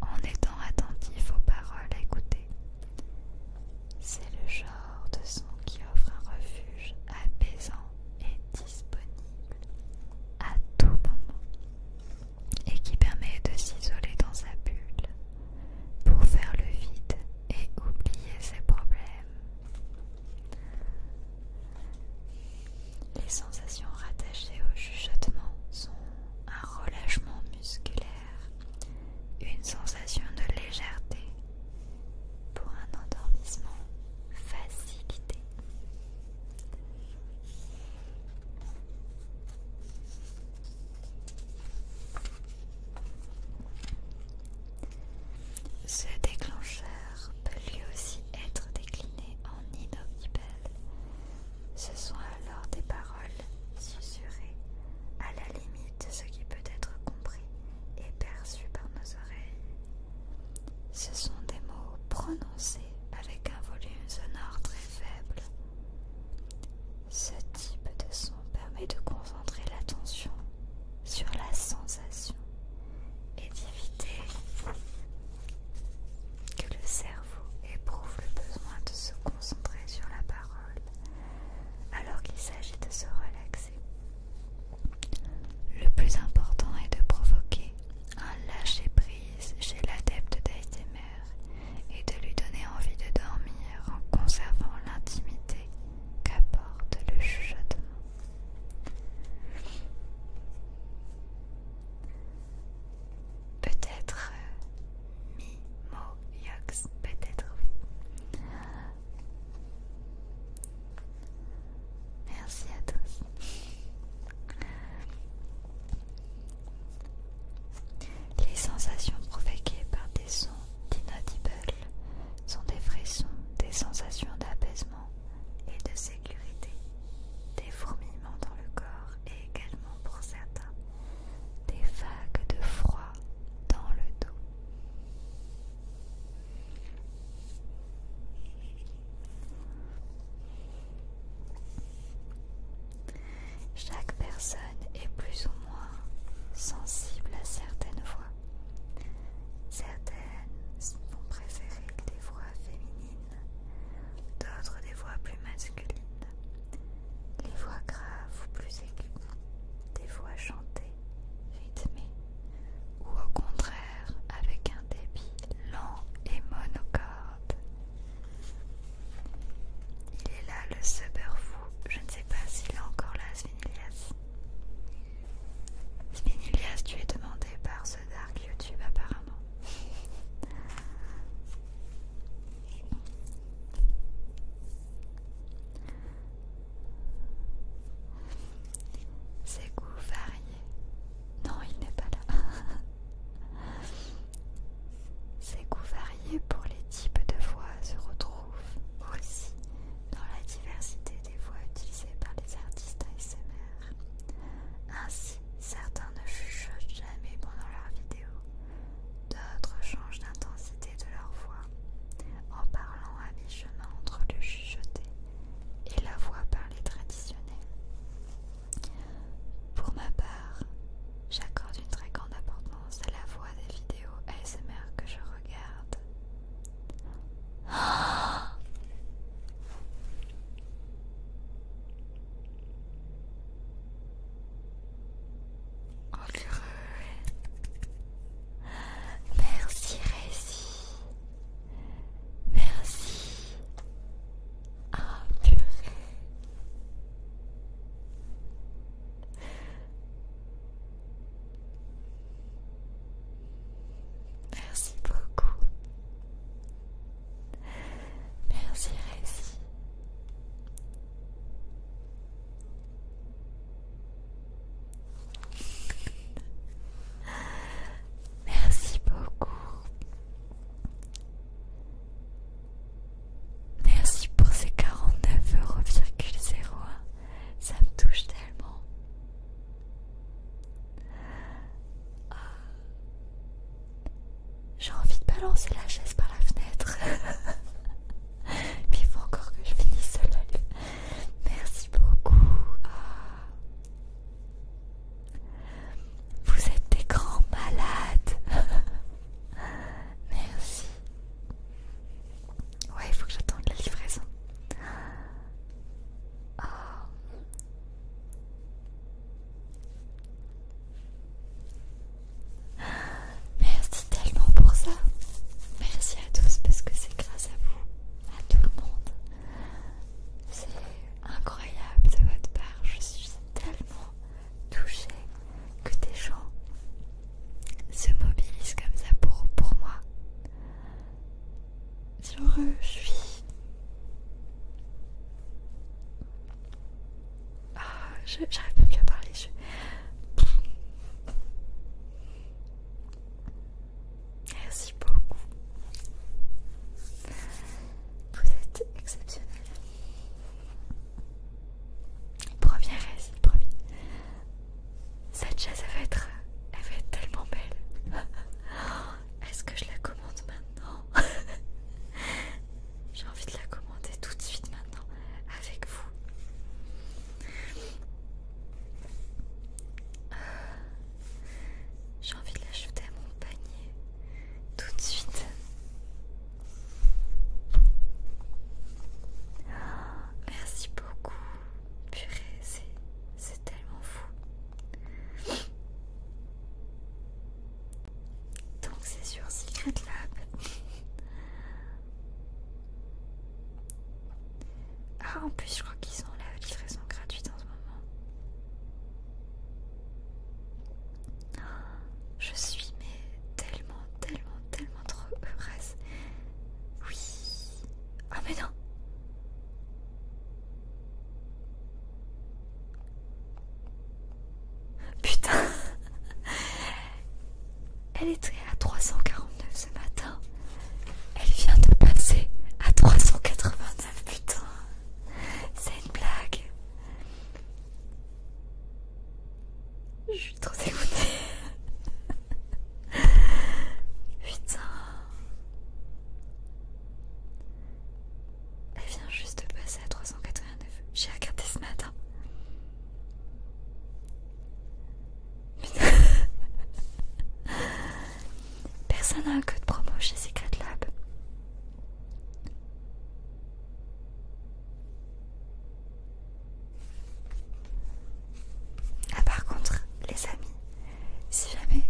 A: en étant attentif aux paroles écoutées. C'est le genre de son qui offre un refuge apaisant est disponible à tout moment et qui permet de s'isoler dans sa bulle pour faire le vide et oublier ses problèmes. Les sensations rattachées au chuchotement sont un relâchement musculaire, une sensation de légèreté pour un endormissement facilité. Ce déclencheur peut lui aussi être décliné en inaudible. Ce sont alors des paroles susurrées à la limite de ce qui peut être compris et perçus par nos oreilles. Ce sont des mots prononcés avec un volume sonore très faible. Ce type de son permet de concentrer l'attention sur la sensation et d'éviter que le cerveau éprouve le besoin de se concentrer sur la parole alors qu'il s'agit de se relaxer. Le plus important est de provoquer un lâcher-prise chez l'adepte d'ASMR et de lui donner envie de dormir en conservant l'intimité qu'apporte le chuchotement.
B: Peut-être mi euh,
A: Mimo Yox, peut-être oui. Merci à tous. Les sensations provoquées par des sons d'inaudible sont des frissons, des sensations d'apaisement et de sécurité, des fourmillements dans le corps et également pour certains des vagues de froid dans le dos. Chaque personne est plus ou moins sensible à certaines voix. Certaines vont préférer des voix féminines, d'autres des voix plus masculines, les voix graves ou plus aiguës, des voix chantées rythmé, ou au contraire avec un débit lent et monocorde. Il est là le fou, je ne sais pas s'il est encore là Svinilias.
B: Svinilias,
A: tu es demandé par ce Dark YouTube apparemment. Ces goûts variés. Non, il n'est pas là. Ces goûts variés pour les types de voix se retrouvent aussi dans la diversité des voix utilisées par les artistes ASMR. Ainsi, certains ne chuchotent jamais pendant leurs vidéos, d'autres changent d'intensité de leur voix en parlant à mi-chemin entre le chuchoter et la voix parlée traditionnelle. Pour ma part, j'accorde une très grande importance à la voix des vidéos ASMR que je regarde. Oh Merci réci!
B: Merci. Ah, purée. Merci beaucoup. Merci Rési.
A: Merci beaucoup. Merci pour ces 49,01€. Ça me touche tellement. Ah. J'ai envie de balancer la chaise par la fenêtre. Mais il faut encore que je finisse live. Merci beaucoup. Ah. Vous êtes des grands malades. Merci. Ouais, il faut que j'attende la livraison. Oh. Merci tellement pour ça. Merci à tous parce que c'est grâce à vous, à tout le monde, c'est incroyable de votre part. Je suis tellement touchée que des gens se mobilisent comme ça pour, pour moi. je suis. Ah, j'arrive même plus à parler. Je... Merci beaucoup. Vous êtes exceptionnel. Première récit, premier. Cette chaise, va être, elle va être tellement belle. Est-ce que je la commande maintenant J'ai envie de la commander tout de suite maintenant avec vous. J'ai envie de l'ajouter à mon panier tout de suite. Merci beaucoup. Purée, c'est tellement fou. Donc c'est sur Secret Lab. Ah, en plus, je crois qu'ils ont la livraison gratuite en ce moment. Oh, je suis mais tellement, tellement, tellement trop heureuse. Oui. Ah, mais non. Putain. Elle était à 349 ce matin. Elle
B: vient de passer à 389, putain. C'est une blague.
A: Je suis trop dégoûtée. Putain. Elle vient juste de passer à 389. J'ai regardé ce matin. Personne n'a un code promo chez Secret Lab. Ah par contre, les amis, si jamais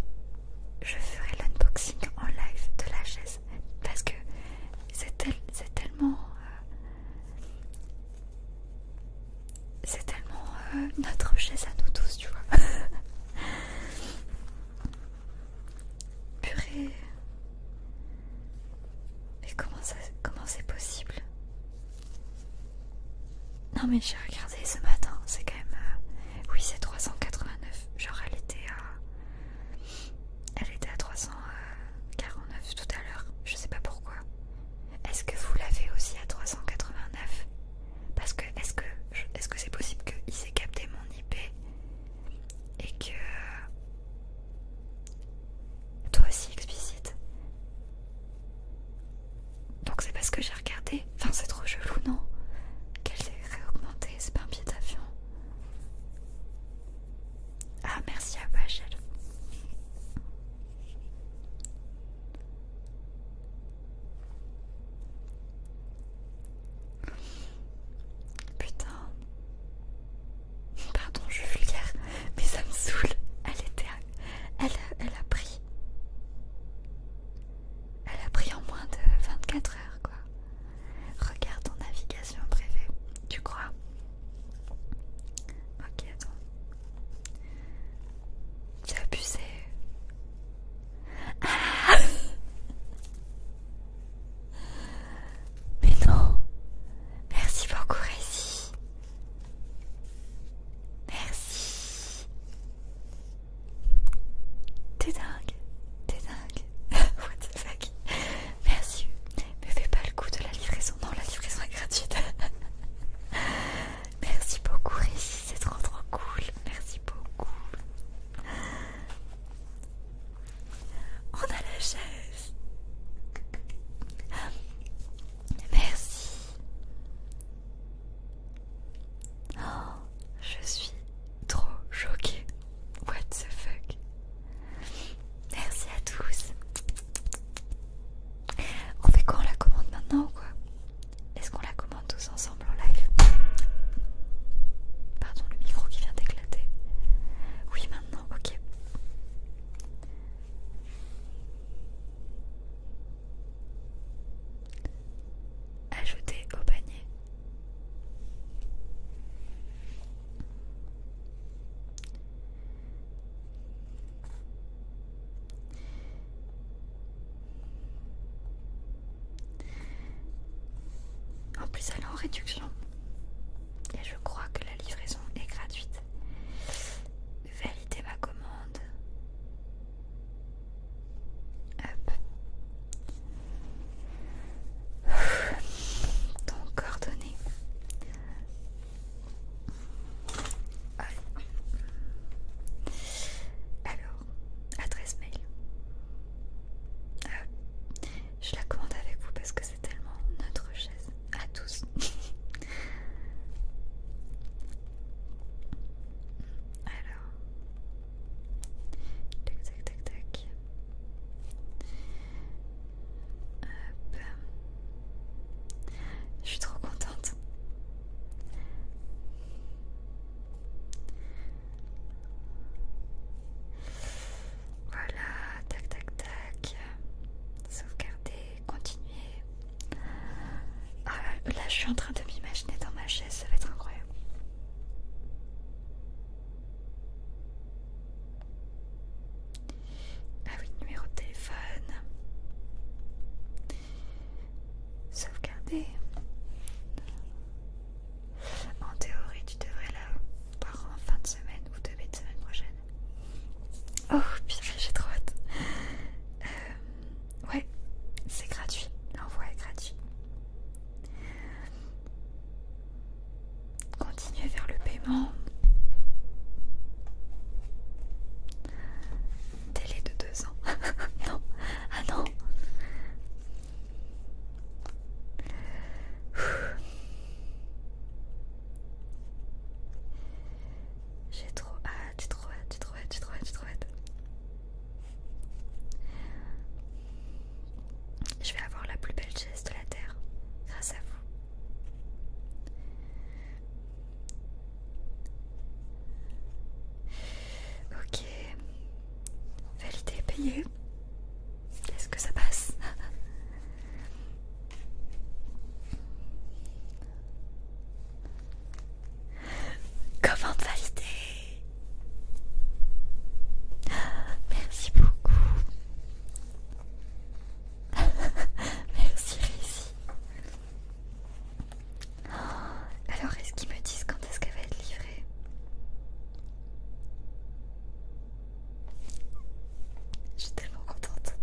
A: je ferai l'unboxing en live de la chaise, parce que c'est tellement... Euh, c'est tellement euh, notre chaise à nous tous, tu vois. Purée. Mais comment comment c'est possible Non mais j'ai regardé ce matin, c'est quand même... Euh, oui c'est 389, genre elle était à... Elle était à 349 tout à l'heure, je sais pas pourquoi. Est-ce que vous l'avez aussi à 389 parce que est-ce que est-ce que c'est possible qu'il s'est capté mon IP et que toi aussi explicite Donc c'est parce que j'ai regardé. Enfin c'est trop chelou non Qu'elle s'est réaugmentée, c'est pas un pied d'avion. Ah merci à Bachel. Putain. Pardon, je vulgaire, mais ça me saoule. Elle était. Elle, a pris. Elle a pris en moins de 24 heures, quoi. Regarde ton navigation privée. Tu crois Ok, attends. C'est abusé. Ah Mais non Merci beaucoup Rési Merci T'es dingue T'es dingue What the fuck Merci Mais fais pas le coup de la livraison Non la livraison est gratuite Merci beaucoup Rissi, c'est trop trop cool. Merci beaucoup.
B: On a la chaise. Merci.
A: Oh, je suis trop choquée. What the fuck? Merci à tous. On fait quoi la commande maintenant ou quoi est-ce qu'on la commande tous ensemble en live Pardon, le micro qui vient d'éclater. Oui, maintenant, ok. Ajouter au panier. En plus, elle est en réduction. Et je crois que la livraison est gratuite. Valider ma commande. Hop. Donc coordonnées. Alors, Adresse mail. Euh, je la commande avec vous parce que c'est tellement notre chaise à tous. alors. Tac tac tac tac. Je suis trop contente. Voilà, tac tac tac. Sauvegarder, continuer. Ah, là, je suis en train de m'imaginer dans ma chaise, ça va être incroyable. Ah oui, numéro de téléphone. Sauvegarder. En théorie, tu devrais la voir en fin de semaine ou début de semaine prochaine. Oh, putain, j'ai trop hâte. Euh, ouais, c'est gratuit. L'envoi est gratuit. Continuez vers le paiement télé de deux ans. non, ah non. J'ai trop Ah, j'ai trop hâte, j'ai trop hâte, j'ai trop hâte, j'ai trop hâte. Je vais avoir la plus belle chaise de la terre grâce à vous. Ok. Validé, payé. Est-ce que ça passe Comment valider Merci beaucoup. Merci Alors, est-ce qu'ils me disent quand est-ce qu'elle va être livrée Je suis tellement contente.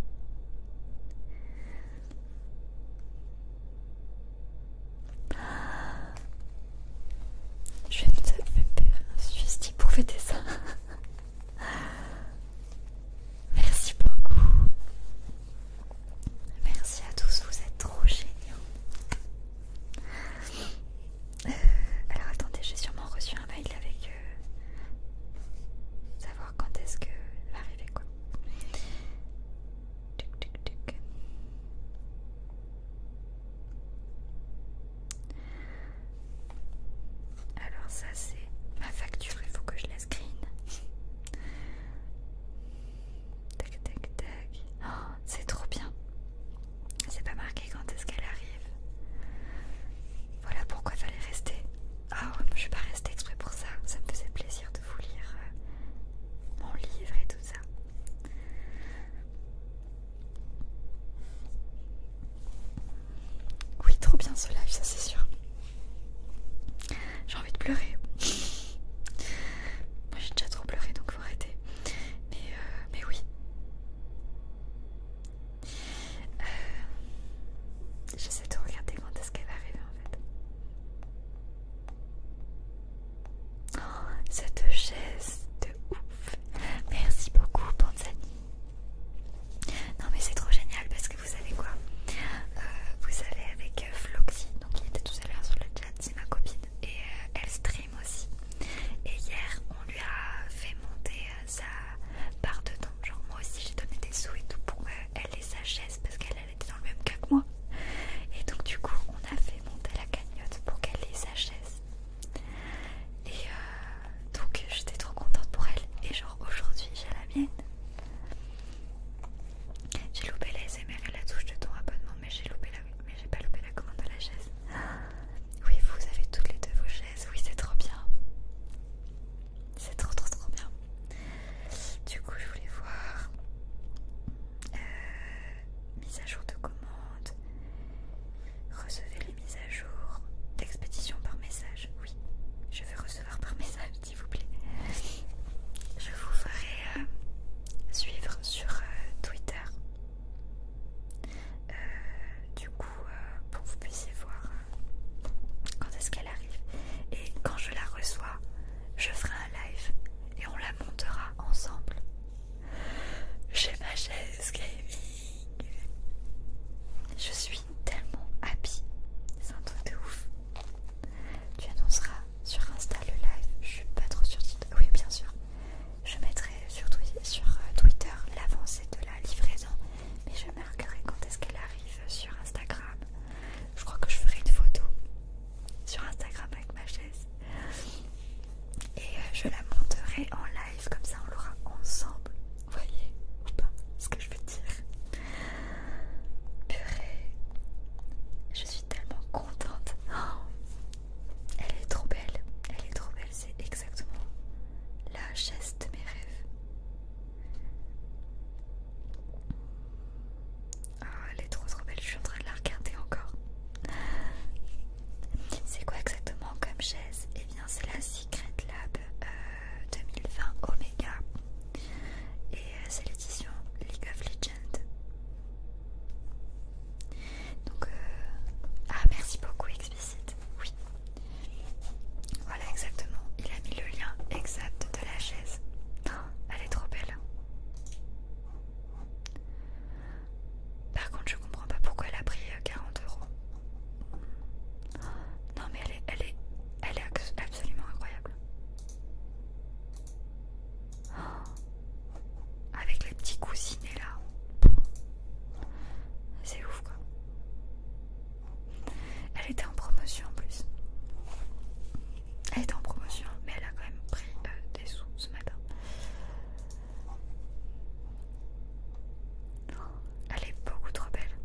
B: Je vais me faire un suicide pour fêter ça. Merci beaucoup. Merci à tous, vous êtes trop géniaux.
A: Euh, alors attendez, j'ai sûrement reçu un mail avec euh, savoir quand est-ce que va arriver quoi. tuc, Alors ça c'est ma facture, il faut que je la screen. Tac tac tac. Oh, c'est trop bien. C'est pas marqué quand est-ce qu'elle arrive. Voilà pourquoi il fallait rester. Oh, je suis pas restée exprès pour ça. Ça me faisait plaisir de vous lire euh, mon livre et tout ça. Oui, trop bien ce live, ça c'est sûr. J'ai envie de
B: pleurer. Moi j'ai déjà trop pleuré donc faut arrêter. Mais, euh,
A: oui. Euh, j'essaie de regarder quand est-ce qu'elle va arriver en fait. Oh, cette chaise de ouf! Merci beaucoup, Panzani! Non, mais c'est trop génial parce que vous savez quoi? Euh, vous allez avec Floxy, donc il était tout à l'heure sur le chat, c'est ma copine et euh, elle stream aussi. Et hier, on lui a fait monter euh, sa part de Genre, moi aussi, j'ai donné des sous et tout pour elle et sa chaise parce qu'elle était dans le même cas que moi. Et donc, du coup, on a fait monter la cagnotte pour qu'elle les sa chaise. Et euh, donc, j'étais trop contente pour elle. Et genre, aujourd'hui, j'ai la mienne. J'ai loupé les SMR et la touche de ton abonnement, mais j'ai loupé la, mais j'ai pas loupé la commande de la chaise. Oui, vous avez toutes les deux vos chaises. Oui, c'est trop bien. C'est trop trop trop bien. Du coup, je voulais voir euh, mise à jour de commande. Recevez les mises à jour d'expédition par message. Oui, je veux recevoir par message, s'il vous plaît. Je vous ferai. Euh, suivre sur euh, Twitter. Euh, du coup, euh, pour que vous puissiez voir quand est-ce qu'elle arrive. Et quand je la reçois, je ferai un live et on la montera ensemble. J'ai ma chaise gaming. Je suis tellement happy. C'est un truc de ouf. Tu annonceras sur Insta le live, je suis pas trop sur Oui, bien sûr. Je mettrai sur, sur euh, Twitter l'avancée de la livraison, mais je marquerai quand est-ce qu'elle arrive sur Instagram. Je crois que je ferai une photo sur Instagram avec ma chaise et euh, je la monterai en live, comme ça on l'aura ensemble. Vous voyez ou pas ce que je veux dire? Purée, je suis tellement contente. elle est trop belle. Elle est trop belle. C'est exactement la chaise de mes rêves. Ah, elle est trop trop belle. Je suis en train de la regarder encore. C'est quoi exactement comme chaise Et eh bien, c'est la Secret Lab 2020 euh, Omega. Et euh, c'est l'édition League of Legends. Donc, euh, ah merci beaucoup explicite, oui. Voilà exactement, il a mis le lien exact de la chaise. elle est trop belle. Par contre, je comprends pas pourquoi elle a pris 40 euh, euros. Non mais elle elle est, elle est absolument incroyable. Avec les petits coussinets là. C'est ouf quoi. Elle était en promotion en plus. Elle était en promotion, mais elle a quand même pris euh, des sous ce matin. Elle est beaucoup trop belle.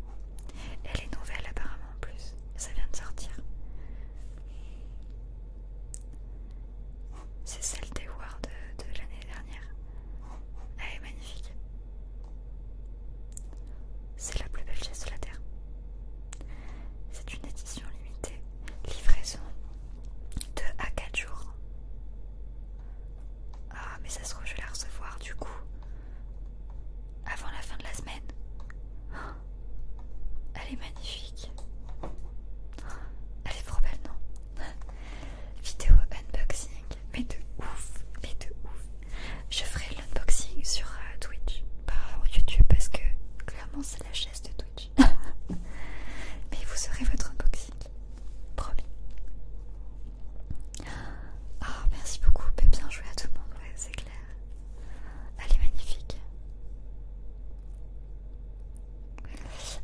A: Elle est nouvelle apparemment en plus. Ça vient de sortir. C'est celle des Ward de, l'année dernière. Elle est magnifique. C'est la plus belle chaise de la Terre. C'est une édition limitée. Livraison de à 4 jours. Ah, mais ça se trouve, je vais la recevoir du coup. Avant la fin de la semaine. Oh, elle est magnifique. Elle est trop belle, non Vidéo unboxing, mais de ouf, mais de ouf. Je ferai l'unboxing sur euh, Twitch, pas YouTube, parce que clairement c'est la chaise de Twitch. mais vous aurez votre unboxing, promis. Ah, merci beaucoup, bien joué à tout le monde, c'est clair. Elle est magnifique.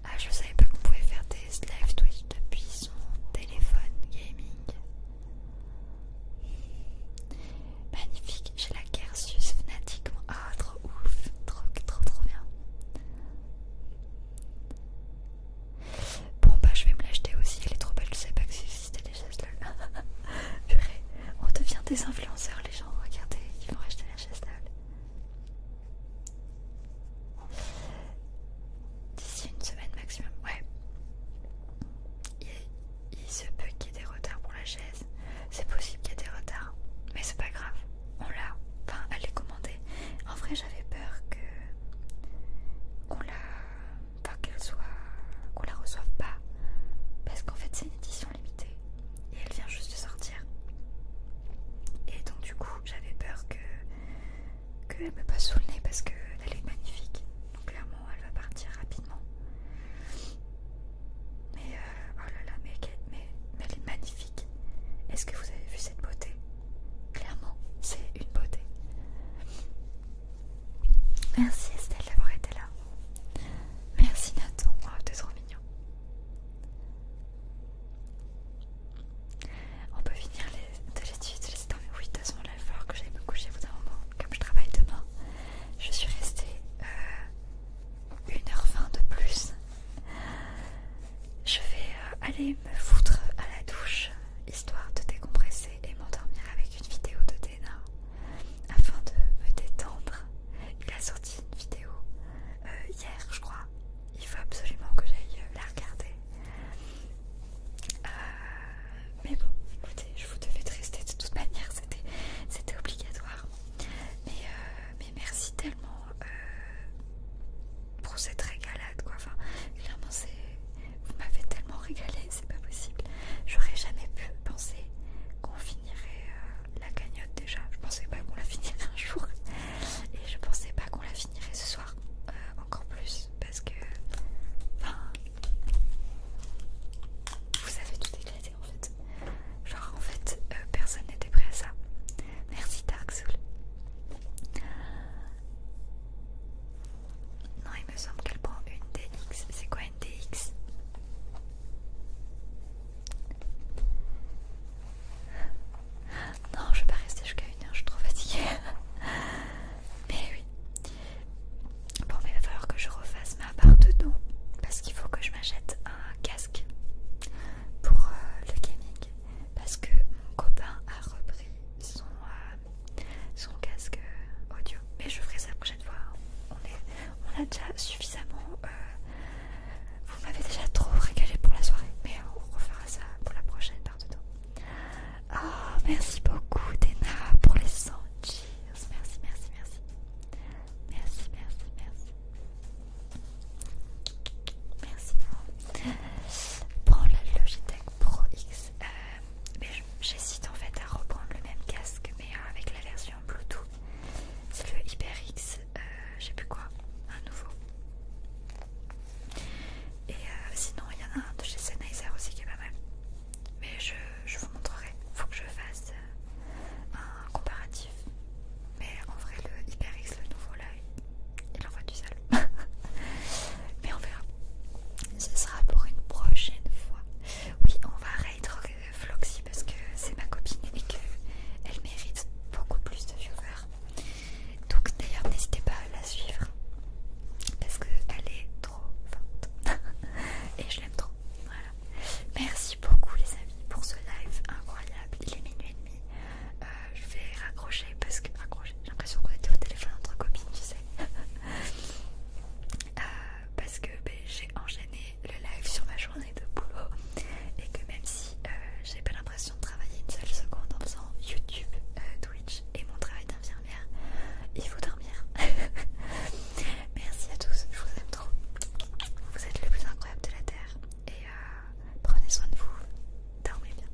A: Ah, je savais pas qu'on pouvait faire des live Twitch depuis son téléphone gaming. Magnifique, j'ai la Kersus Fnatic. Ah, trop ouf, trop, trop, bien. Bon, bah, je vais me l'acheter aussi. Elle est trop belle, je sais pas que c'était les cela. on devient des influenceurs, les gens. Regardez, ils vont acheter la chaise lol. D'ici une semaine maximum, ouais. Il, se peut qu'il y ait des retards pour la chaise. C'est possible qu'il y ait des retards, mais c'est pas grave. On l'a. Enfin, elle est commandée. En vrai, j'avais peur que qu'on la, enfin, qu'elle soit, qu'on la reçoive pas, parce qu'en fait, c'est une édition limitée et elle vient juste de sortir. Et donc du coup j'avais peur que elle me passe sous le nez parce qu'elle est magnifique. Donc clairement elle va partir rapidement. Mais euh, oh là là, mais, mais, mais elle est magnifique. Est-ce que vous avez vu cette beauté Clairement, c'est une beauté. Merci Estelle d'avoir été là. Merci Nathan, oh, t'es trop mignon. On peut finir de l'étude, oui, de toute façon, il que j'aille me coucher au bout d'un moment. Comme je travaille demain, je suis restée euh, une 1h20 de plus. Je vais euh, aller me foutre à la douche, histoire de décompresser et m'endormir avec une vidéo de Dena, afin de me détendre il a sorti une vidéo euh, hier, je crois. Il faut absolument que j'aille euh, la regarder. Euh, mais bon, écoutez, je vous devais rester de toute manière, c'était obligatoire. Mais, merci tellement pour cette régalade, quoi. clairement, c'est. Vous m'avez tellement régalé, c'est pas possible. J'aurais jamais pu penser qu'on finirait la cagnotte déjà. Je pensais pas qu'on la finirait un jour. Et je pensais pas qu'on la finirait ce soir. Euh, encore plus. Parce que. Vous avez tout éclaté en fait. Genre en fait, euh, personne n'était prêt à ça. Merci Dark Soul. Non, il me semble qu'elle prend une DX. C'est quoi une DX non, je vais pas rester jusqu'à une heure, je suis trop fatiguée. Mais oui. Bon, mais il va falloir que je refasse ma part de dos. parce qu'il faut que je m'achète un casque pour euh, le gaming parce que mon copain a repris son, euh, casque euh, audio. Mais je ferai ça la prochaine fois. Hein. On, a déjà suffisamment vous m'avez déjà trop régalé pour la soirée, mais on refera ça pour la prochaine part de temps. Oh, merci beaucoup, Dena, pour les 100 cheers. Merci, merci, merci. Merci, merci, merci. Merci. Prends la Logitech Pro X. Euh, mais j'hésite en fait à reprendre le même casque, mais avec la version Bluetooth. C'est le HyperX euh, j'ai plus quoi, un nouveau. Et euh, sinon, il y en a un de chez Sennheiser aussi qui est pas mal. Mais je, vous montrerai, faut que je fasse euh, un comparatif. Mais en vrai, le HyperX, le nouveau là, il envoie du sale. Mais on verra. Ce sera pour une prochaine fois. Oui, on va raid Floxy parce que c'est ma copine et qu'elle mérite beaucoup plus de viewers. Donc d'ailleurs n'hésitez pas à la suivre parce qu'elle est trop forte et je l'aime trop. Merci beaucoup les amis pour ce live incroyable. Il est minuit et demi. Euh, je vais raccrocher parce que raccrocher, j'ai l'impression qu'on était au téléphone entre copines, tu sais. Euh, parce que ben, j'ai enchaîné le live sur ma journée de boulot et que même si euh, j'ai pas l'impression de travailler une seule seconde en faisant YouTube, euh, Twitch et mon travail d'infirmière, il faut dormir. Merci à tous, je vous aime trop. Vous êtes le plus incroyable de la Terre et euh, prenez soin de vous, dormez bien.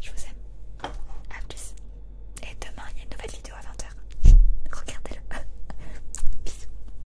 A: Je vous aime. à plus. Et demain, il y a une nouvelle vidéo à 20h. Regardez-le. Bisous.